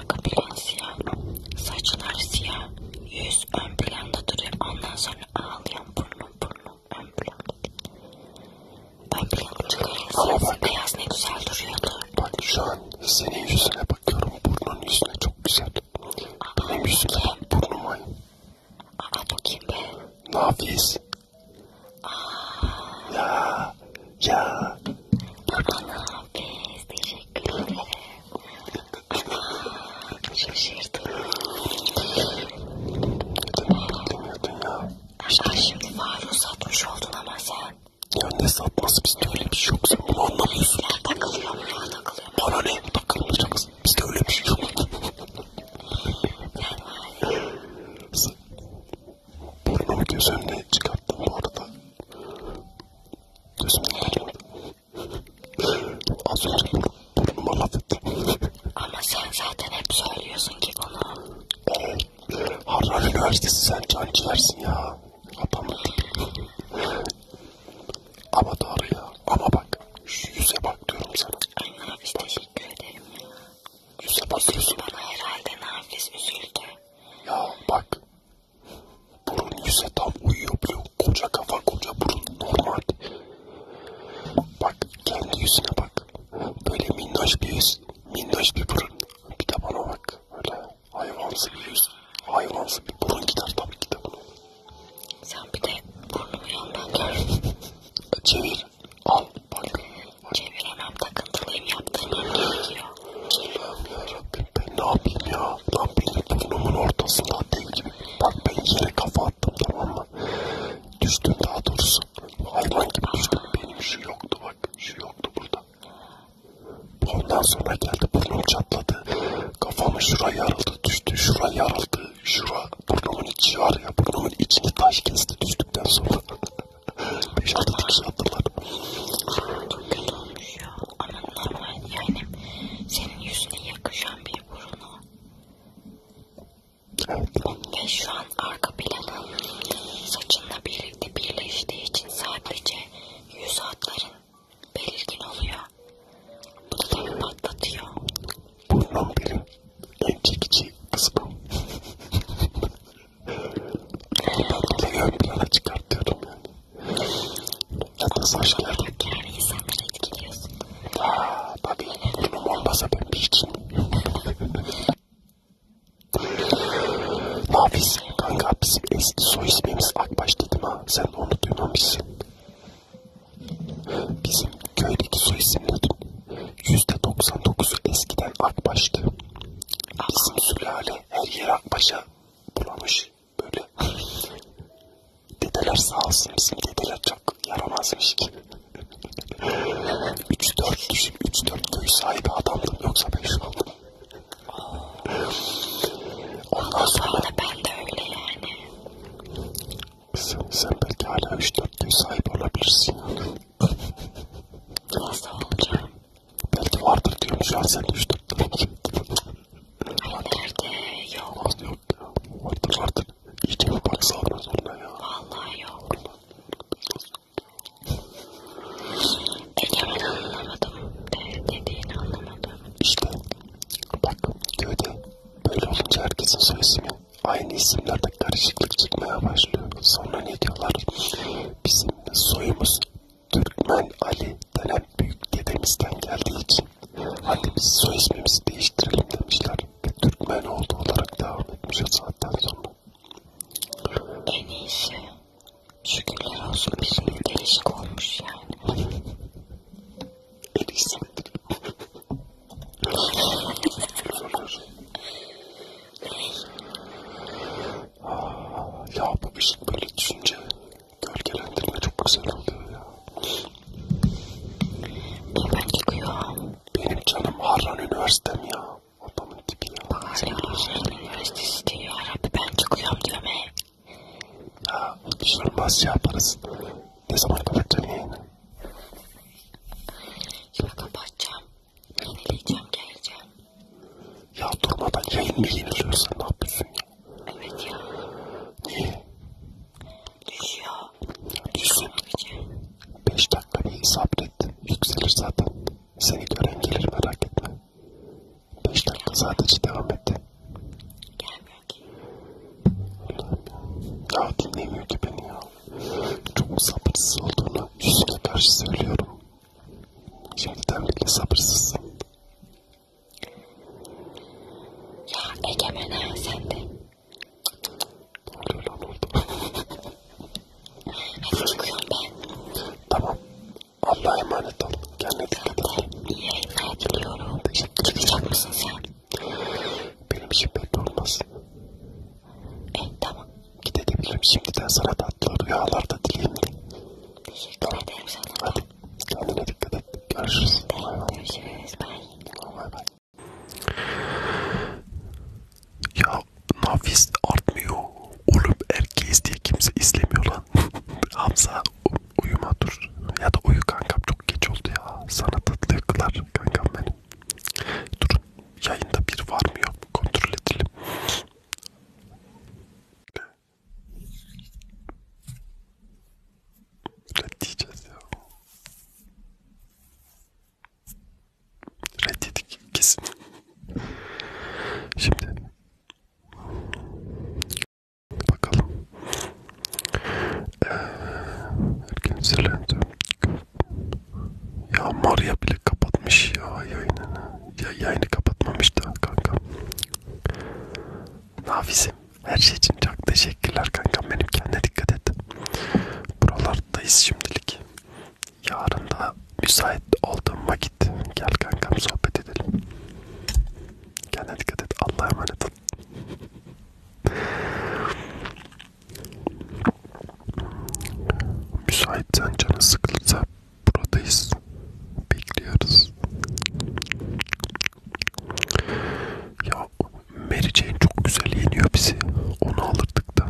arka plan siyah, saçlar siyah, yüz ön planda duruyor. Ondan sonra ağlayan burnum burnum ön planda. Ön planda çıkıyor. Beyaz ne güzel duruyordu. Bak şu an senin yüzüne bakıyorum. Burnun yüzüne çok güzel. Aa, Benim yüzümde ben burnum ay. Aa bakayım be. Nafis. Aa. Ya. Ya. Bana nafis. Teşekkür ederim. Şaşırdım. Demiyordun ya. Aşkım şimdi Faruk'u satmış oldun ama sen. Ya ne satması bizde öyle bir şey yok sen bunu anlamıyorsun. Bizler takılıyor mu ya takılıyor mu? Bana ne takılmayacaksın bizde öyle bir şey yok. Burnumu göz önüne çıkarttım bu arada. Gözümden kaçmadı. Az önce burnuma laf etti. Ama sen zaten hep söylüyorsun ki bunu. Ee, Harran Üniversitesi sen can ciğersin ya. Adamı. Ama doğru ya. Ama bak. Yüze bak diyorum sana. Ay Nafiz teşekkür ederim ya. Yüze bakıyorsun. Üzüldü bana herhalde Nafiz üzüldü. Ya bak. Burun yüze tam uyuyor biliyor Koca kafa koca burun normal. Bak kendi yüzüne bak. Böyle minnoş bir yüz. Minnoş bir burun. Bir de bana bak. Öyle hayvansı bir yüz. Hayvansı bir burun gider tabii ki de bunu. Sen bir de burnumu yandan gör. Çevir. Al bak. Çeviremem takıntılıyım yaptığım gerekiyor. Allah'ım yarabbim ben ne yapayım ya? Lan benim burnumun ortasında değil gibi. Bak ben yere kafa attım tamam mı? Düştüm daha doğrusu. Hayvan gibi düştüm. Benim şu yoktu bak. Şu yoktu burada. Ondan sonra geldi burnum çatladı. Kafamı şuraya yarıldı. Düştü şuraya yarıldı. Şura burnumun içi var ya. Burnumun içini taş kesti düştükten sonra. 5-6 dikiş attılar. Çok kötü olmuş ya yok ama normal yani senin yüzüne yakışan bir burnu ve şu an arka planı saçınla birlikte birleştiği için sadece yüz hatların belirgin oluyor. Bu da tabii patlatıyor. Burnum benim en çekici kısmım. Bunu ben plana çıkartıyordum yani. Çok hoşuma gitti ve insanları etkiliyorsun. Aa, tabii. Bunun olmasa ben piçim. Nafiz kanka bizim eski soy ismimiz Akbaş dedim ha. Sen de onu duymamışsın. Bizim köydeki soy isimlerin %99'u eskiden Akbaş'tı. Bizim sülale her yer Akbaş'a bulamış böyle dedeler sağ olsun bizim dedeler çok yaramazmış ki. 3-4 düşün 3-4 köy sahibi adamdım yoksa ben şu an. Ondan sonra ben de öyle yani. Sen, sen belki hala 3-4 köy sahibi olabilirsin. Nasıl olacağım? Belki vardır diyorum şu an sen 3-4 köy Nerede? Yok. Yok ya. Vardır vardır. İyice bir bak sağlamaz onunla ya. Vallahi yok. Egemen anlamadım. Ne dediğini anlamadım. İşte bak köyde böyle olunca herkesin soy ismi aynı isimlerde karışıklık çıkmaya başlıyor. Sonra ne diyorlar? Bizim soyumuz Türkmen Ali denen büyük dedemizden geldiği için hadi biz soy ismimizi değiştirelim demişler ve Türkmen oldu olarak devam etmiş o saatten sonra. En iyisi. Şükürler olsun bizim şey değişik olmuş yani. en iyisi. ya bu ışık şey, böyle düşünce Gölgelendirme çok güzel oluyor ya. Bilmem yıkıyor. Benim canım Harran Üniversitem ya. Adamın tipi ya. Harran Üniversitesi diyor. Rabbi ben çıkıyorum diyor be. Ha, düşürmez şey yaparız. Ne zaman kapatacaksın yayını? Şimdi kapatacağım. Yenileyeceğim, geleceğim. Ya durmadan yayın mı yeniliyorsa ne yapıyorsun Evet ya. Düşüyor. Düşüyor mu 5 dakika bir sabret. Yükselir zaten. Seni gören gelir merak etme. 5 dakika sadece devam et. Gelmiyor ki. Ya dinlemiyor ki beni ya. Çok sabırsız olduğunu yüzüne karşı söylüyorum. Şimdi devletle sabırsızsın. Ya Egemen ha sen de. Hadi çıkıyorum ben. Tamam. Allah'a emanet ol. Kendine dikkat et. İyi yayınlar diliyorum. Çıkacak mısın sen? Benim işim belli olmaz. E tamam. Gidebilirim şimdiden sana tatlı rüyalarda dileyim de. Teşekkür tamam. ederim sana. Hadi. Kendine dikkat et. Görüşürüz. Bay bay. Görüşürüz. Bay bay. Ya nafis artmıyor. Oğlum erkeğiz diye kimse izlemiyor lan. Hamza uyuma dur. Ya da uyu kankam çok geç oldu ya. Sana tatlı yakılar kankam benim. Dur yayında bir var mı yok mu kontrol edelim. Reddedeceğiz ya. Reddedik kesin. Şimdi bakalım. Ee, erken selendi. Ya Maria bile kapatmış ya yayını. Ya yayını kapatmamış da kanka. Nafizim. Her şey için çok teşekkürler kankam benim kendine dikkat et. Buralardayız şimdilik. Yarın da müsait olduğum vakit gel kankam sohbet edelim. Kendine dikkat et. Allah'a emanet ol. Müsaitsen canı sıkılırsa buradayız. Bekliyoruz. Ya Mary Jane çok güzel yeniyor bizi. Onu alırdık da.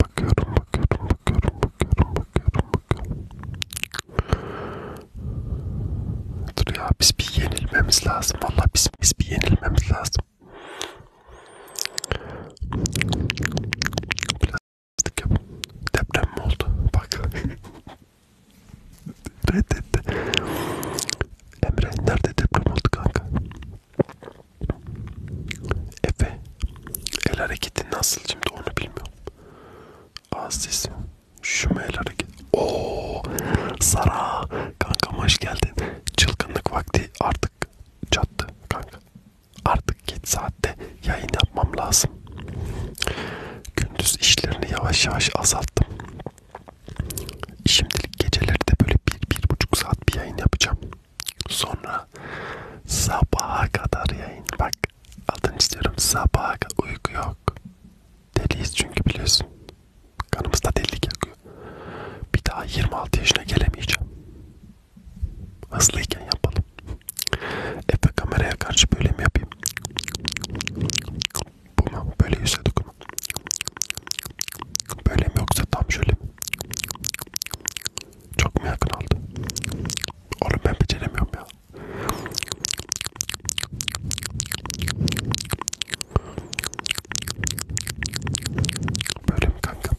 Bakıyorum, bakıyorum, bakıyorum, bakıyorum, bakıyorum, bakıyorum. Dur ya biz bir yenilmemiz lazım. Valla biz, biz bir yenilmemiz lazım. Biraz Haksızlık yapın. Deprem mi oldu? Bak. Reddetti. Emre nerede deprem oldu kanka? Efe. El hareketi nasıl şimdi onu bilmiyorum. Ağız sesi. Şu mu el hareketi? Ooo. Sara. Kankam hoş geldin. Çılgınlık vakti artık çattı kanka. Artık geç saatte yayın yapmam lazım. Gündüz işlerini yavaş yavaş azalttım. Şimdilik geceleri de böyle bir, bir buçuk saat bir yayın yapacağım. Sonra sabaha kadar yayın. Bak adını istiyorum sabaha kadar uyku yok. Deliyiz çünkü biliyorsun. Kanımızda delilik yakıyor. Bir daha 26 yaşına gelemeyeceğim. Hızlıyken yapalım. Efe kameraya karşı böyle mi yapayım? Bu mu? Böyle yüze dokunma. Böyle mi yoksa tam şöyle mi? Çok mu yakın oldu? Oğlum ben beceremiyorum ya. Böyle mi kanka?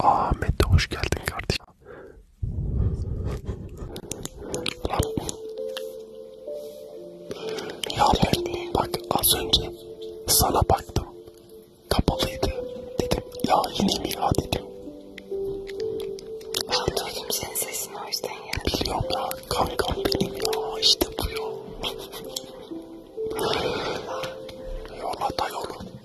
Ahmet de hoş geldin kardeşim. ya ben bak az önce sana baktım. Kapalıydı. Dedim ya yine mi ya dedim. Anladım senin sesini o yüzden ya. Biliyorum ya kankam benim ya işte bu ya. Yola da yolu.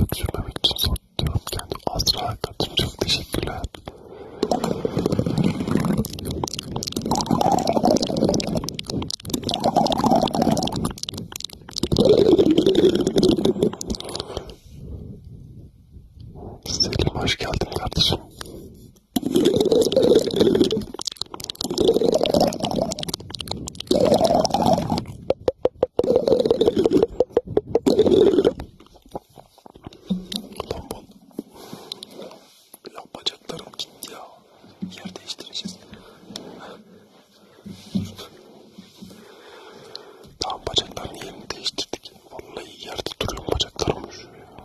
Öksürmem için zor diyorum kendi Azra Katın çok teşekkürler. Selim hoş geldin kardeşim. Lan bacaklarım gitti ya. Yer değiştireceğiz. Tamam bacaklarını yerini değiştirdik. Vallahi yerde duruyor bacaklarım. Ya.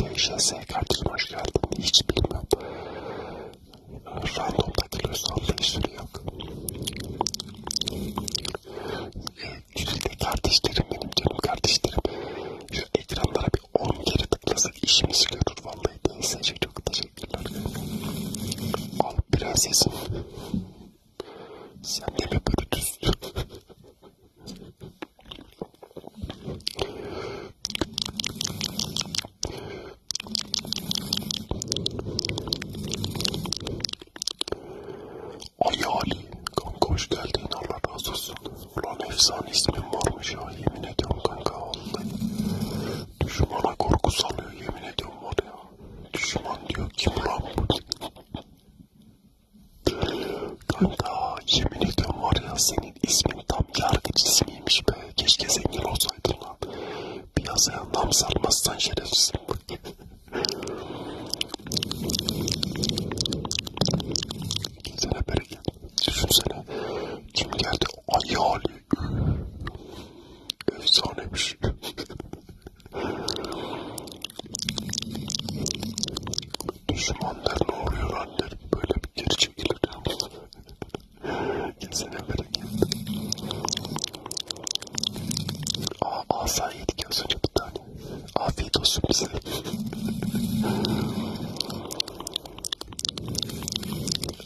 Değişen S kardeşim hoş geldin. Hiç bilmem. Random ee, takılıyor sallayışları yok. Ee, Güzide kardeşlerim benim canım kardeşlerim. Şu ekranlara bir 10 kere tıklasak işimizi görür vallahi. Değilse çok teşekkürler. Al prensesim. Sen de mi Brutus? Ay Ali, kanka hoş geldin. Allah razı olsun. Ulan efsane ismin varmış ya. Yemin ediyorum kanka vallahi. Düşmana korku salıyor. Yemin ediyorum var ya. Düşman diyor kim lan bu? Kanka yemin ediyorum var ya senin ismin tam yargıç ismiymiş be. Keşke zengin olsaydın lan. Piyasaya nam sarmazsan şerefsin. Gelsene bereket. Düşünsene. Kim geldi? Ay Ali. Efsanemiş. Düşman der ne oluyor lan der. Böyle bir geri çekilir. Gitsene böyle gel. Aa, asa yedik az önce bir tane. Afiyet olsun bize.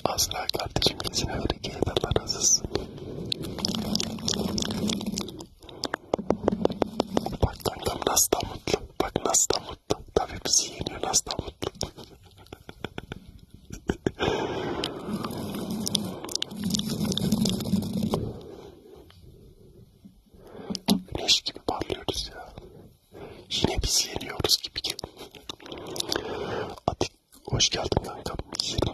Asla kardeşim gitsene böyle gel. Allah razı olsun. Bak kankam nasıl da mutlu. Bak nasıl da mutlu. Tabii bizi yeniyor nasıl da mutlu. Güneş gibi parlıyoruz ya. Yine biz yeniyoruz gibi. Atik hoş geldin kankam. Yeni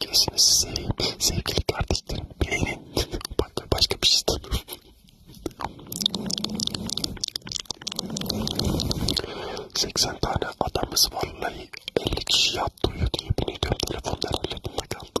Gözünüzü seveyim sevgili kardeşlerim beğenin. Başka, başka bir şey istemiyorum. Seksen tane adamız vallahi elli kişi yattı uyudu. Yemin ediyorum telefonlar ellerinde kaldı.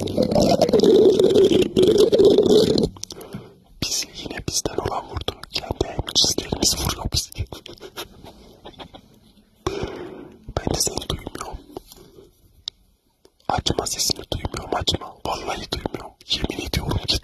Bizi yine bizden olan vurdu. Kendi emcizlerimiz vuruyor bizi. ben de seni duymuyorum. Açma sesini duymuyorum açma. Vallahi duymuyorum. Yemin ediyorum git.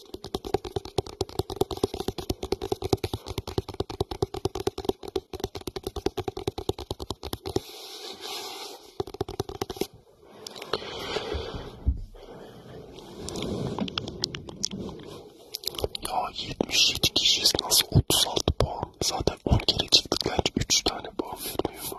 Ya 77 kişiyiz nasıl 36 puan? Zaten 10 kere çıktık bence 3 tane puan vermiyor mu?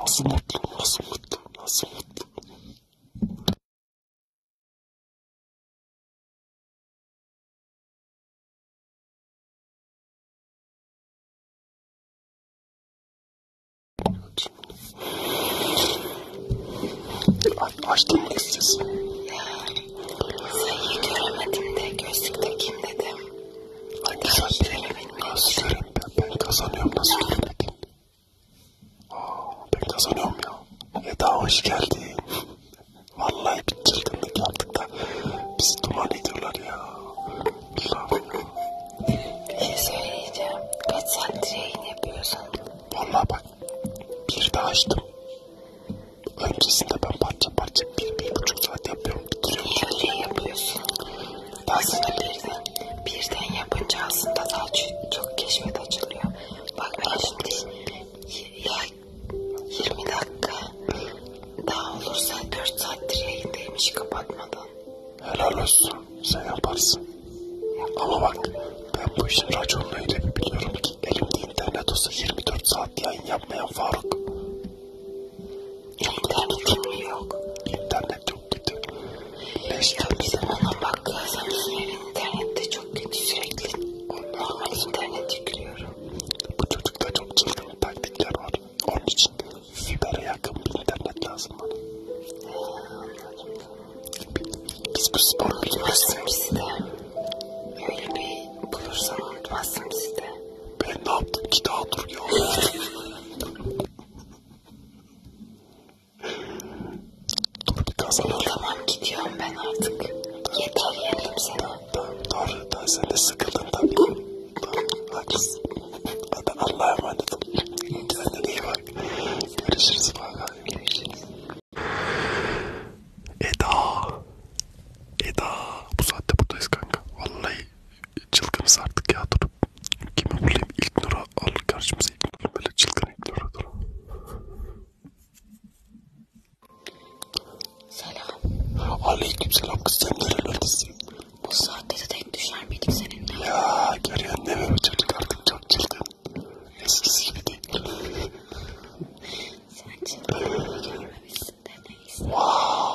Nasıl mutlu, nasıl mutlu, nasıl mutlu. Açtım mı sesi? Ya, sayıyı göremedim de gözlük takayım dedim. Hangi sözleri? Nasıl göreyim ben? Ben kazanıyorum nasıl göremedin? Aa, ben kazanıyorum ya. Eda hoş geldin. Vallahi bir çılgınlık yaptık da bizi duman ediyorlar ya. Allah'ım ya. Ne söyleyeceğim? Kaç saattir yayın yapıyorsun? Vallahi bak bir daha açtım. Öncesinde ben parça parça bir, bir buçuk saat yapıyorum. İkili ikili şey yapıyorsun. Baksana birden. Birden yapınca aslında daha çok keşfet açılıyor. Bak ben şimdi ya 20 dakika daha olursa 4 saattir yayındaymış kapatmadan. Helal olsun. Sen yaparsın. Yapma Ama bak ben bu işin raconunu öyle bir biliyorum ki elimde internet olsa 24 saat yayın yapmayan Faruk. İnternetim yok. İnternet çok kötü. Ne istiyorsun? Bizim ona bak ya sen bizim evin internette çok kötü sürekli. Normal internet yüklüyorum. Bu çocukta çok çılgın bir taktikler var. Onun için fibere yakın bir internet lazım bana. Biz bu spor biliyoruz. Unutmazsın bizi de. Öyle bir bulursan unutmazsın bizi de. Ben ne yaptım ki daha dur ya. dur bir kazanalım. Tamam gidiyorum ben artık. Dur, Yeter yerim seni. Tamam tamam doğru. Ben sen de sıkıldın tabii. tamam haklısın. Hadi Allah'a emanet ol. Kendine iyi bak. Görüşürüz. Bye. Görüşürüz. Eda. Eda. Bu saatte buradayız kanka. Vallahi çılgınız artık ya dur. Kimi bulayım? İlk Nur'a al karşımıza İlk Nur böyle çılgın İlk Nur'a dur. Selam. Aleyküm selam kız sen nerelerdesin? Bu saatte de denk düşer miydik seninle? Ya görüyorsun değil mi bu çocuk artık çok çılgın. Eskisi gibi değil. sen çılgın görmemişsin de neyse. Wow.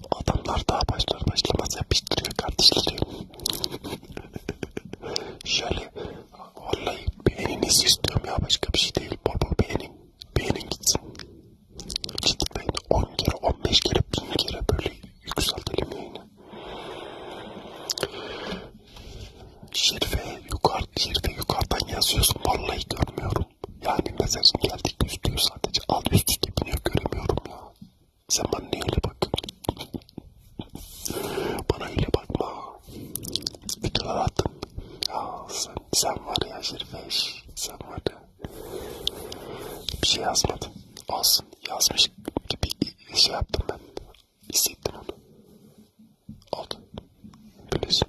Adamlar daha başlar başlamaz yapıştırıyor kardeşleri. Şöyle vallahi beğeninizi istiyorum ya başka bir şey değil. Bol bol beğenin. Beğenin gitsin. Cidden 10 kere 15 kere 1000 kere böyle yükseltelim yayını. Şerife, yukarı, şerife yukarıdan yazıyorsun vallahi görmüyorum. Yani mesajın geldi üstü sadece alt üst üste biniyor göremiyorum ya. Sen bana niye öyle bak? bana öyle bakma. Videolar attım. Ya sen, sen var ya Şerifeş. Sen var ya. Bir şey yazmadım. Olsun yazmış gibi şey yaptım ben. Hissettim onu. Oldu. Böylesin.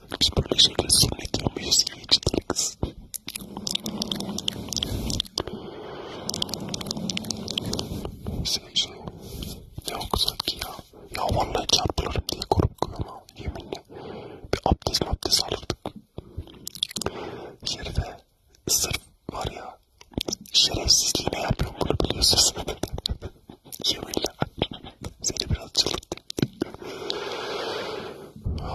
Biz böyle şeyler sünnet yapmayız. İyi çıtırlıkız. Senin şey ne okusak ki ya. Ya vallahi çarpılırım diye korkuyorum ha. Yeminle. Bir abdest abdest alırdık. Yerde sırf var ya. Şerefsizliğine yapıyorum bunu biliyorsunuz. Yeminle. Seni biraz çıldırdım.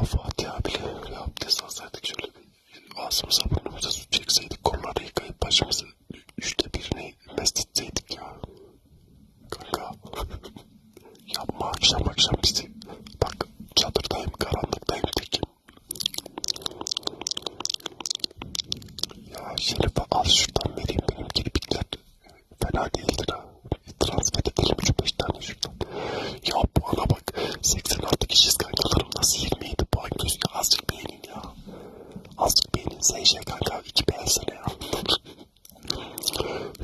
Fatih abiyle ya abdest alsaydık şöyle bir ağzımıza burnumuza su çekseydik kolları yıkayıp başımızı üçte birini mesletseydik ya. Kanka yapma akşam akşam bizi. Bak çadırdayım karanlıktayım tekim. Ya Şerif'e al şuradan vereyim benim kirpikler. Fena değildir ha transfer edelim şu 5 tane şuradan. Ya puana bak. 86 kişiyiz kankalarım. Nasıl 27 puan gözüküyor? Azıcık beğenin ya. Azıcık beğenin. SŞ kanka 2 beğensene ya.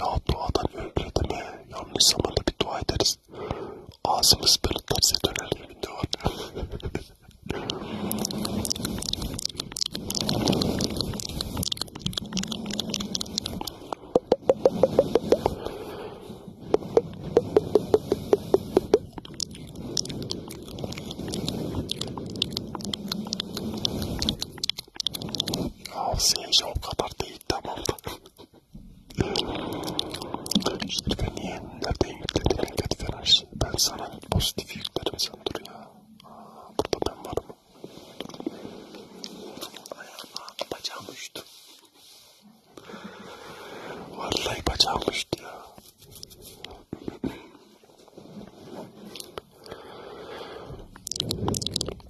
ya duadan öyle deme. Yanlış zamanda bir dua ederiz. Ağzımız böyle terse döner yemin var. Tavsiyemce o kadar değil tamam da. işte ben niye nereden yükledin negatif enerji? Ben sana pozitif yüklerim sen dur ya. Aa, burada ben varım. Ayağım, bacağım uçtu. Vallahi bacağım düştü ya.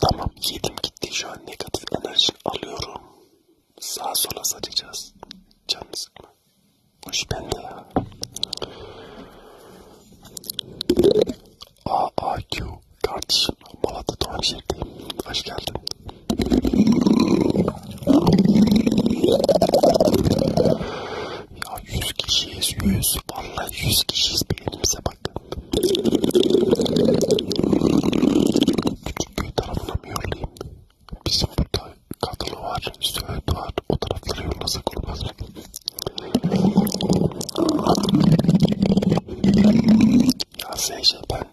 Tamam yedim gitti şu an negatif enerji alıyorum. Sağa sola saçacağız. Canım sıkma. Hoş bende ya. AAQ Kardeşim Malatya doğum şehirdeyim. Hoş geldin. Ya 100 kişiyiz 100. Vallahi 100 kişiyiz beynimize bak. Küçükköy tarafına mı yollayayım? Bizim burada Kadılı var, Söğüt var. O taraflara yollasak olmaz mı? Ya Seyşe ben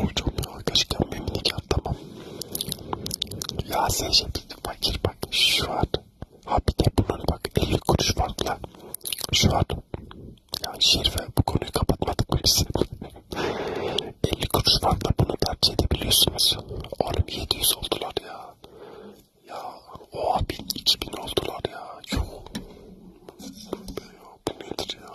Hocam ya gerçekten memnun ya tamam. Ya sen şimdi fakir bak şu an. Ha bir de bunun bak 50 kuruş farkla. Şu an. Ya Şerife bu konuyu kapatmadık mı biz? 50 kuruş farkla bunu tercih edebiliyorsunuz. Oğlum 700 oldular ya. Ya oha 1000 2000 oldular ya. Yok. Bu nedir ya?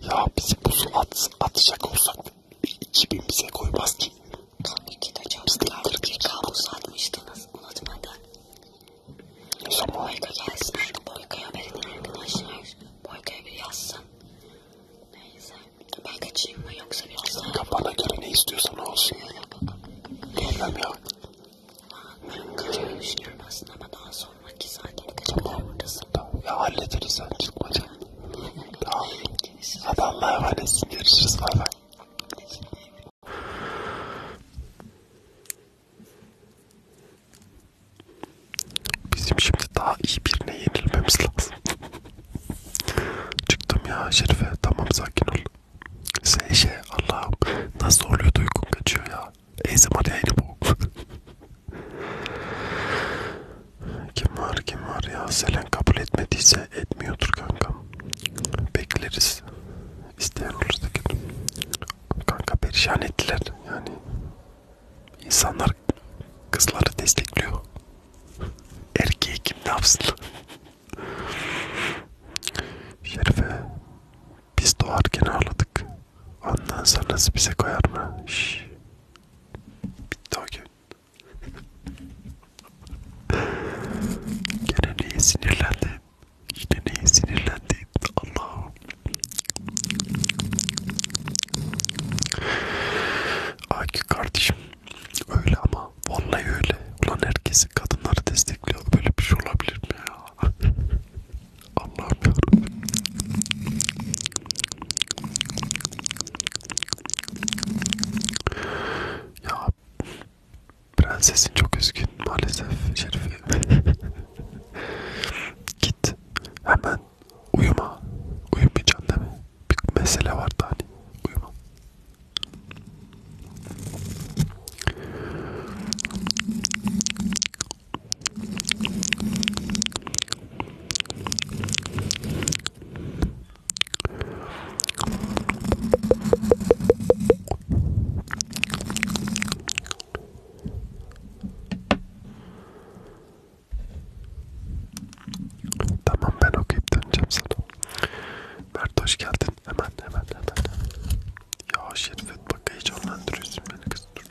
ya bizi buzu at, atacak olsak 2000 bize koymaz ki. Kanki de çok kaldı. Kabus atmıştınız. Unutmadan. Şu Boyka gelsin artık. Boyka'ya verin arkadaşlar. Boyka'ya bir yazsın. Neyse. Ben kaçayım mı yoksa biraz daha... Kafana göre ne istiyorsan olsun. Öyle bakalım. Bilmem ya. Ben kaçmayı düşünüyorum aslında ama daha sonra sonraki saatleri kaç kadar buradasın? Tamam. Ya hallederiz sen çıkma canım. tamam. Adamlar var etsin. Görüşürüz. Bay bay. Bizim şimdi daha iyi birine yenilmemiz lazım. Çıktım ya Şerife. Tamam sakin ol. Şey şey Allah'ım nasıl oluyor duygun kaçıyor ya. Ezim hadi bu. Kim var kim var ya Selen kabul etmediyse etmiyordur kankam. Bekleriz. İsteyen olursa gelir. Kanka perişan ettiler yani. İnsanlar kızları destekliyor. Erkeği kim ne yapsın? Şerife biz doğarken ağladık. Ondan sonrası bize koyar mı? Şşş. Bitti o gün. Gene neye sinirlendin? Yine neye sinirlendin? Allah'ım. Aki kardeşim öyle ama vallahi öyle. Ulan herkesi kadınları destekliyor. Böyle bir şey olabilir mi ya? Allah'ım yarabbim. Ya prensesin çok üzgün maalesef Şerifi. Git hemen uyuma. Uyumayacaksın değil mi? Bir mesele vardı hani. Uyuma. Tamam ben okuyup döneceğim sana. Mert hoş geldin. Hemen hemen hemen. Ya Şerifet bak heyecanlandırıyorsun beni kız dur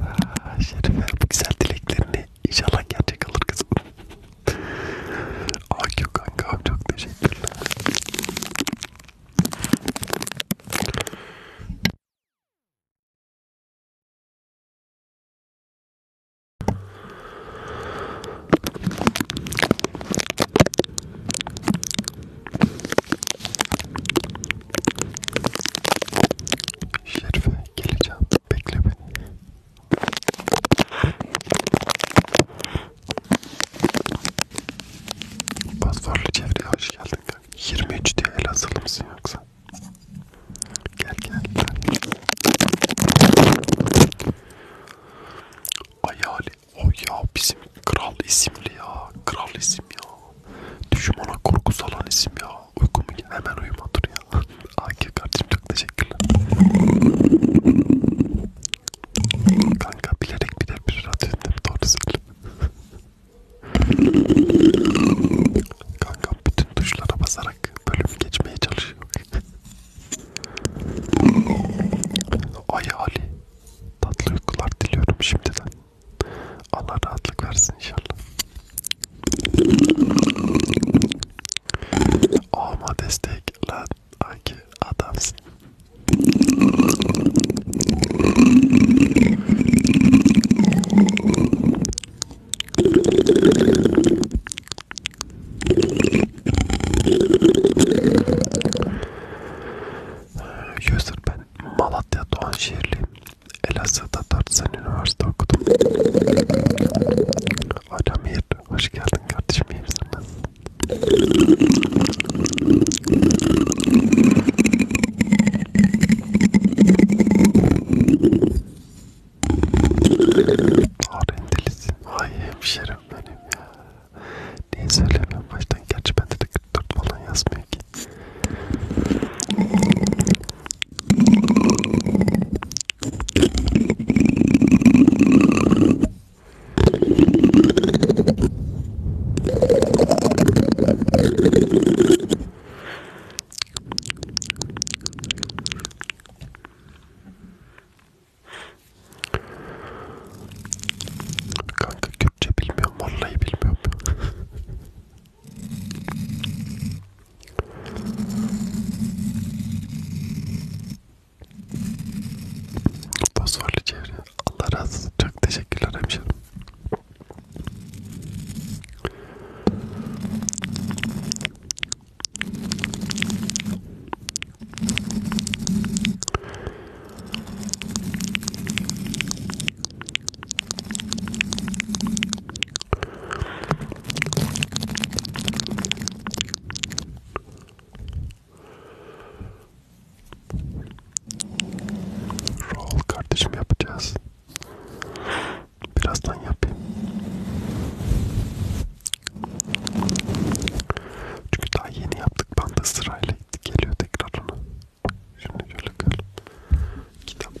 Ah, Şerife bu güzel dileklerini inşallah gerçek olur kızım. Akü kanka çok teşekkürler. Şerife geleceğim. Bekle beni. Pasforlu çevreye hoş geldin. 23 diye el asılı mısın yoksa? Gel gel. Ay Ali. O ya bizim kral isimli ya. Kral isim ya. Düşmana korku salan isim ya. Uykum hemen uyuma dur ya. Akif kardeşim çok teşekkürler. Kanka bilerek bir de bir radyo dinledim doğru söyle. Kanka bütün tuşlara basarak bölüm geçmeye çalışıyor. Ay Ali tatlı uykular diliyorum şimdiden. Allah rahatlık versin inşallah. Ama destek lan aki adamsın. Ee, User ben Malatya Doğanşehirliyim. Elazığ'da Tartsan Üniversite okudum. Alamir, hoş geldin kardeşim, iyi misin? Arendelisin, ay hemşerim benim ya. Niye söylemiyorum baştan, gerçi bende de 44 falan yazmıyor ki. Kanka Kürtçe bilmiyorum, vallahi bilmiyorum. Fosforlu çevre. Allah razı olsun. Çok teşekkürler hemşerim. Rol kardeşim yapacağız. Birazdan yapayım. Çünkü daha yeni yaptık. Ben de sırayla geliyor tekrar ona. Şimdi şöyle gel. Kitap mı?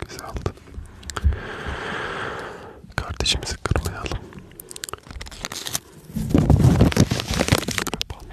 Güzel oldu. Kardeşimizi kırmayalım. Kapanma.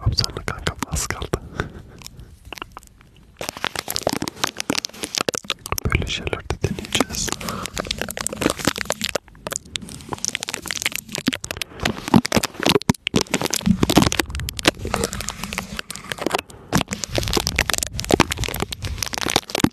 Abzarlı kankam az kaldı. Böyle şeyler de deneyeceğiz.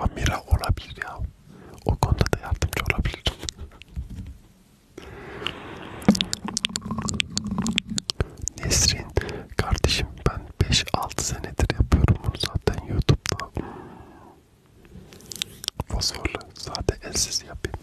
Amira olabilir ya. O konuda da yardımcı olabilir. Nesrin kardeşim ben 5-6 senedir yapıyorum bunu zaten YouTube'da. Hmm. Fosforlu. Zaten elsiz yapayım.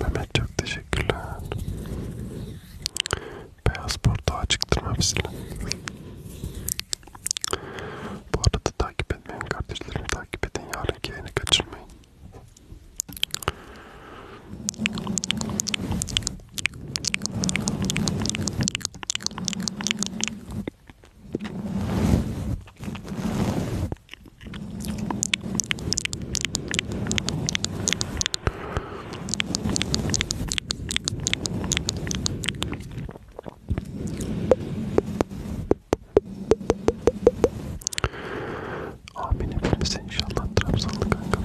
Mehmet çok teşekkürler. Beyaz portağı çıktırma hepsini. Bu arada takip etmeyin kardeşlerim. Takip edin yarınki yayını kaçırmayın. Amin hepimize inşallah Trabzonlu kankam.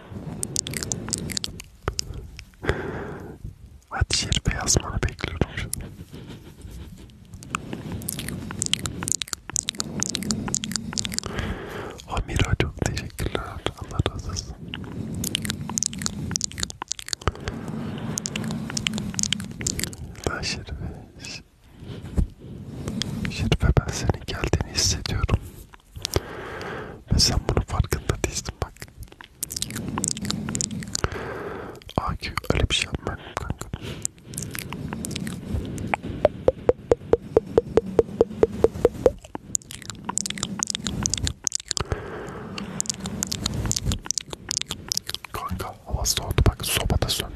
Hadi şerife yazmanı bekliyorum şimdi. Amira çok teşekkürler. Allah razı olsun. Ben Şerife, Şerife ben senin geldiğini hissediyorum. Ve sen bunun farkında değilsin bak. AQ öyle bir şey yapmıyorum kanka. Kanka hava soğudu bak soba da söndü.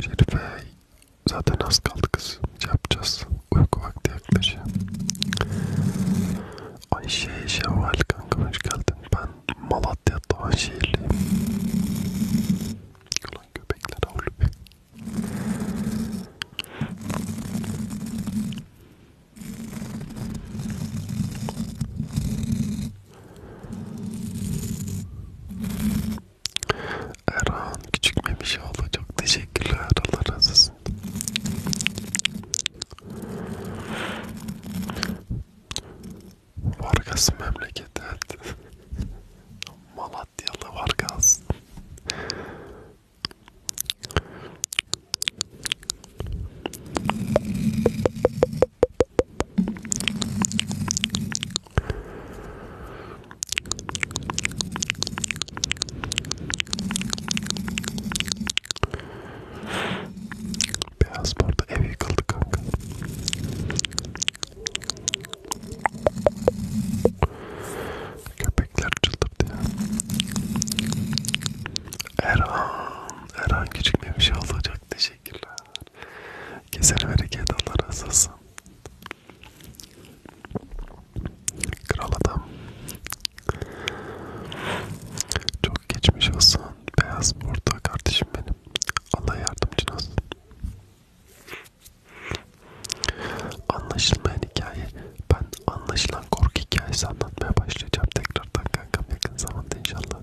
Şerife zaten az kaldı kız. Yapacağız. Uyku vakti yaklaşıyor. Ayşe Şevval kanka hoş geldin. Ben Malatya Doğanşehirliyim. Ulan köpekler avlu Erhan küçük Memişoğlu şey çok teşekkürler Allah razı olsun. Vargas memleket evet. Malatyalı Vargas. Beyaz burada ev yıkıldı kanka. Köpekler çıldırdı ya. Erhan, Erhan küçük bir şey olacaktı. Teşekkürler. Güzel hareket Allah razı olsun. Kral adam. Çok geçmiş olsun. Beyaz burada kardeşim benim. Allah yardımcın olsun. Anlaşılmayan hikaye. Ben anlaşılan korku hikayesi anlatmaya başlayacağım tekrardan kankam yakın zamanda inşallah.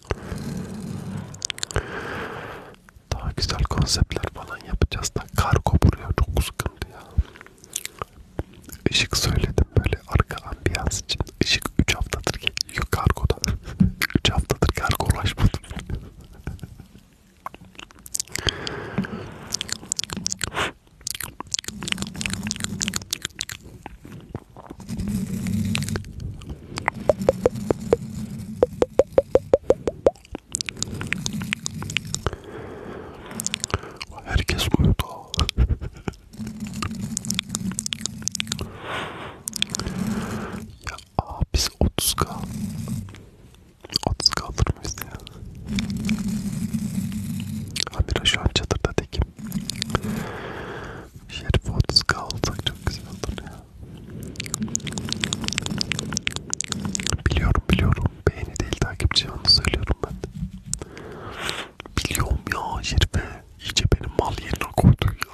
Daha güzel konseptler falan yapacağız da kargo buraya çok sıkıntı ya. Işık söyledim böyle arka ambiyans için. Işık 3 haftadır geliyor kargoda. 3 haftadır kargo ulaşmadım. Herkes uyudu. ya aa, biz 30k 30k alır mıyız ya? Amira şu an çadırda tekim. Şerif 30k alsak çok güzel olur ya. Biliyorum biliyorum. Beğeni değil takipçi yalnız söylüyorum ben. Biliyorum ya Şerife. İyice benim mal yerine koydun ya.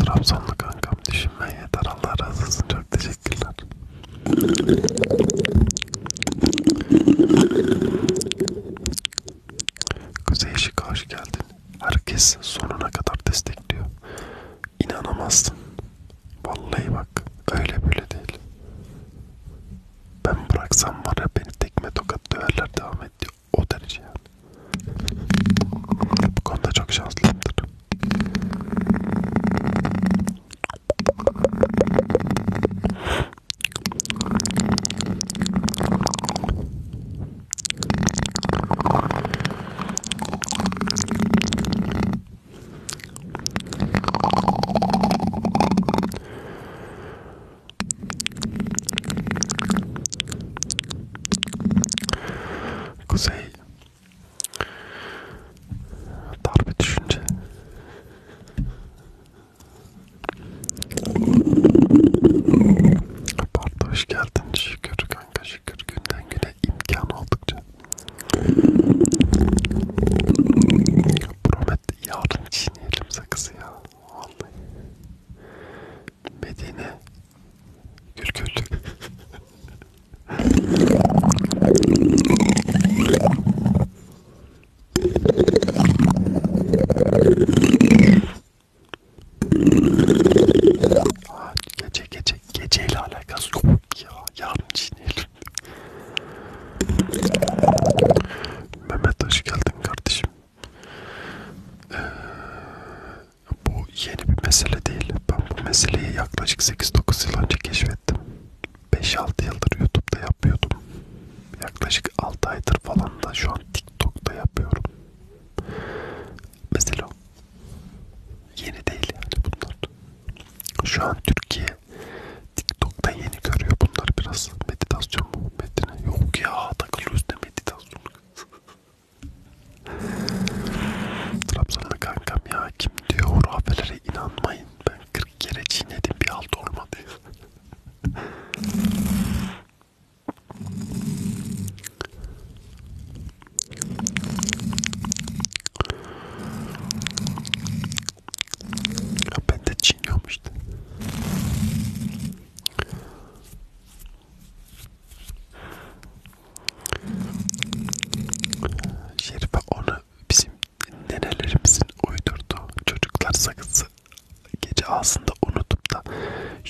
Trabzonlu kankam düşünmen yeter. Allah razı olsun. Çok teşekkürler. Kuzey Işık'a hoş geldin. Herkes sonuna kadar destekliyor. İnanamazsın. Vallahi bak öyle böyle değil. Ben bıraksam var ya beni tekme tokat döverler devam ediyor. O derece yani. Bu konuda çok şanslıyımdır. Kuzey Darbe düşünce Bartu hoş geldin şükür kanka şükür günden güne imkan oldukça Promet yarın çiğneyelim sakızı ya Vallahi Medine Gül gül. Aa, gece gece geceyle alakası yok ya. Yarın çiğneyelim. Mehmet hoş geldin kardeşim. Ee, bu yeni bir mesele değil. Ben bu meseleyi yaklaşık 8-9 yıl önce keşfettim. 5-6 yıldır YouTube'da yapıyordum. Yaklaşık 6 aydır falan da şu an TikTok'ta yapıyorum. Mesela yeni değil yani bunlar. Şu an Türkiye TikTok'ta yeni görüyor bunlar biraz. Meditasyon mu? Medine. Yok ya takılıyoruz ne meditasyonu. Trabzon'da kankam ya kim diyor hurafelere inanmayın. Ben 40 kere çiğnedim bir halt olmadı. Ya ben de çiğniyorum işte. Şerife onu bizim nenelerimizin uydurduğu çocuklar sakızı gece ağzında unutup da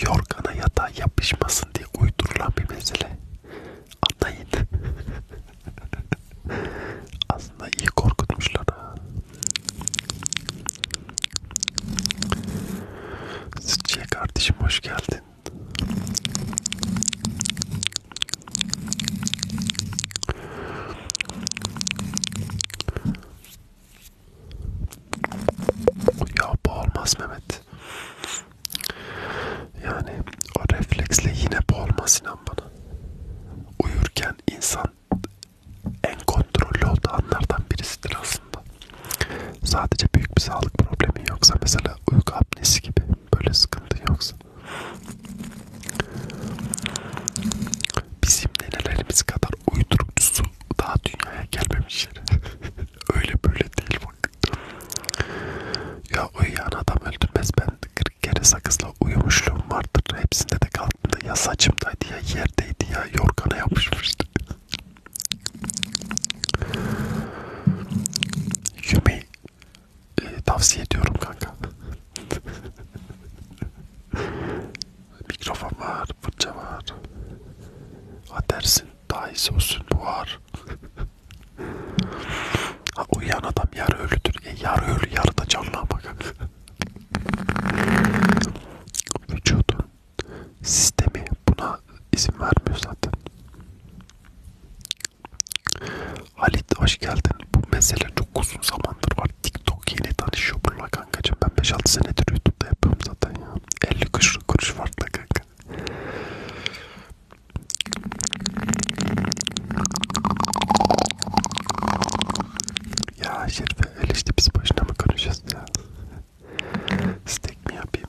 yorgana yatağa yapışmasın diye uydurulan bir mesele. Anlayın. Aslında iyi korkutmuşlar. Sıçıya kardeşim hoş geldin. Ya bu olmaz Mehmet. Yani o refleksle yine bu olmaz inan bana. Uyurken insan en kontrollü olduğu anlardan birisidir aslında. Sadece büyük bir sağlık problemi yoksa mesela uyku apnesi gibi böyle sıkıntı yoksa. Bizim nenelerimiz kadar uydurukçusu daha dünyaya gelmemişler. Öyle böyle değil bak. Ya uyuyan adam öldürmez ben 40 kere sakızla uyumuşluğum vardır. Hepsinde de kalktığımda ya saçımdaydı ya yerdeydi ya yorgana yapışmıştı. Yemeği e, tavsiye ediyorum kanka. Mikrofon var, fırça var. Atersin, daha iyisi olsun, buhar. ha, uyuyan adam yarı ölüdür. E, yarı ölü, yarı da canlı ama kanka. Vücudun sistemi buna ama izin vermiyor zaten. Halit hoş geldin. Bu mesele çok uzun zamandır var. TikTok yeni tanışıyor bununla kankacığım. Ben 5-6 senedir YouTube'da yapıyorum zaten ya. 50 kuruş kuruş farklı kanka. Ya Şerife öyle işte biz başına mı konuşacağız ya? Steak mi yapayım?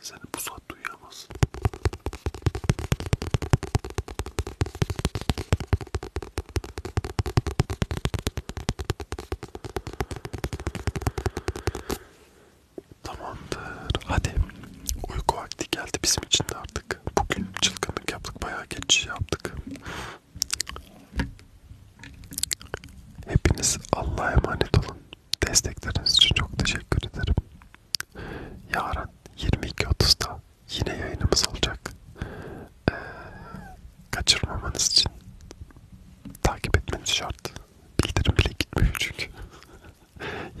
Seni bu saat duyamaz. Tamamdır. Hadi. Uyku vakti geldi bizim için de artık. Bugün çılgınlık yaptık. Bayağı geç şey yaptık. Hepiniz Allah'a emanet olun. Destekleriniz için çok teşekkür ederim. Yarın 22.30'da yine yayınımız olacak. Ee, kaçırmamanız için takip etmeniz şart. Bildirim bile gitmiyor çünkü.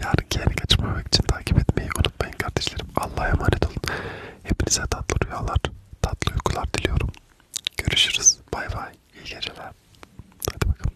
Yarınki yayını kaçırmamak için takip etmeyi unutmayın kardeşlerim. Allah'a emanet olun. Hepinize tatlı rüyalar, tatlı uykular diliyorum. Görüşürüz. Bay bay. İyi geceler. Hadi bakalım.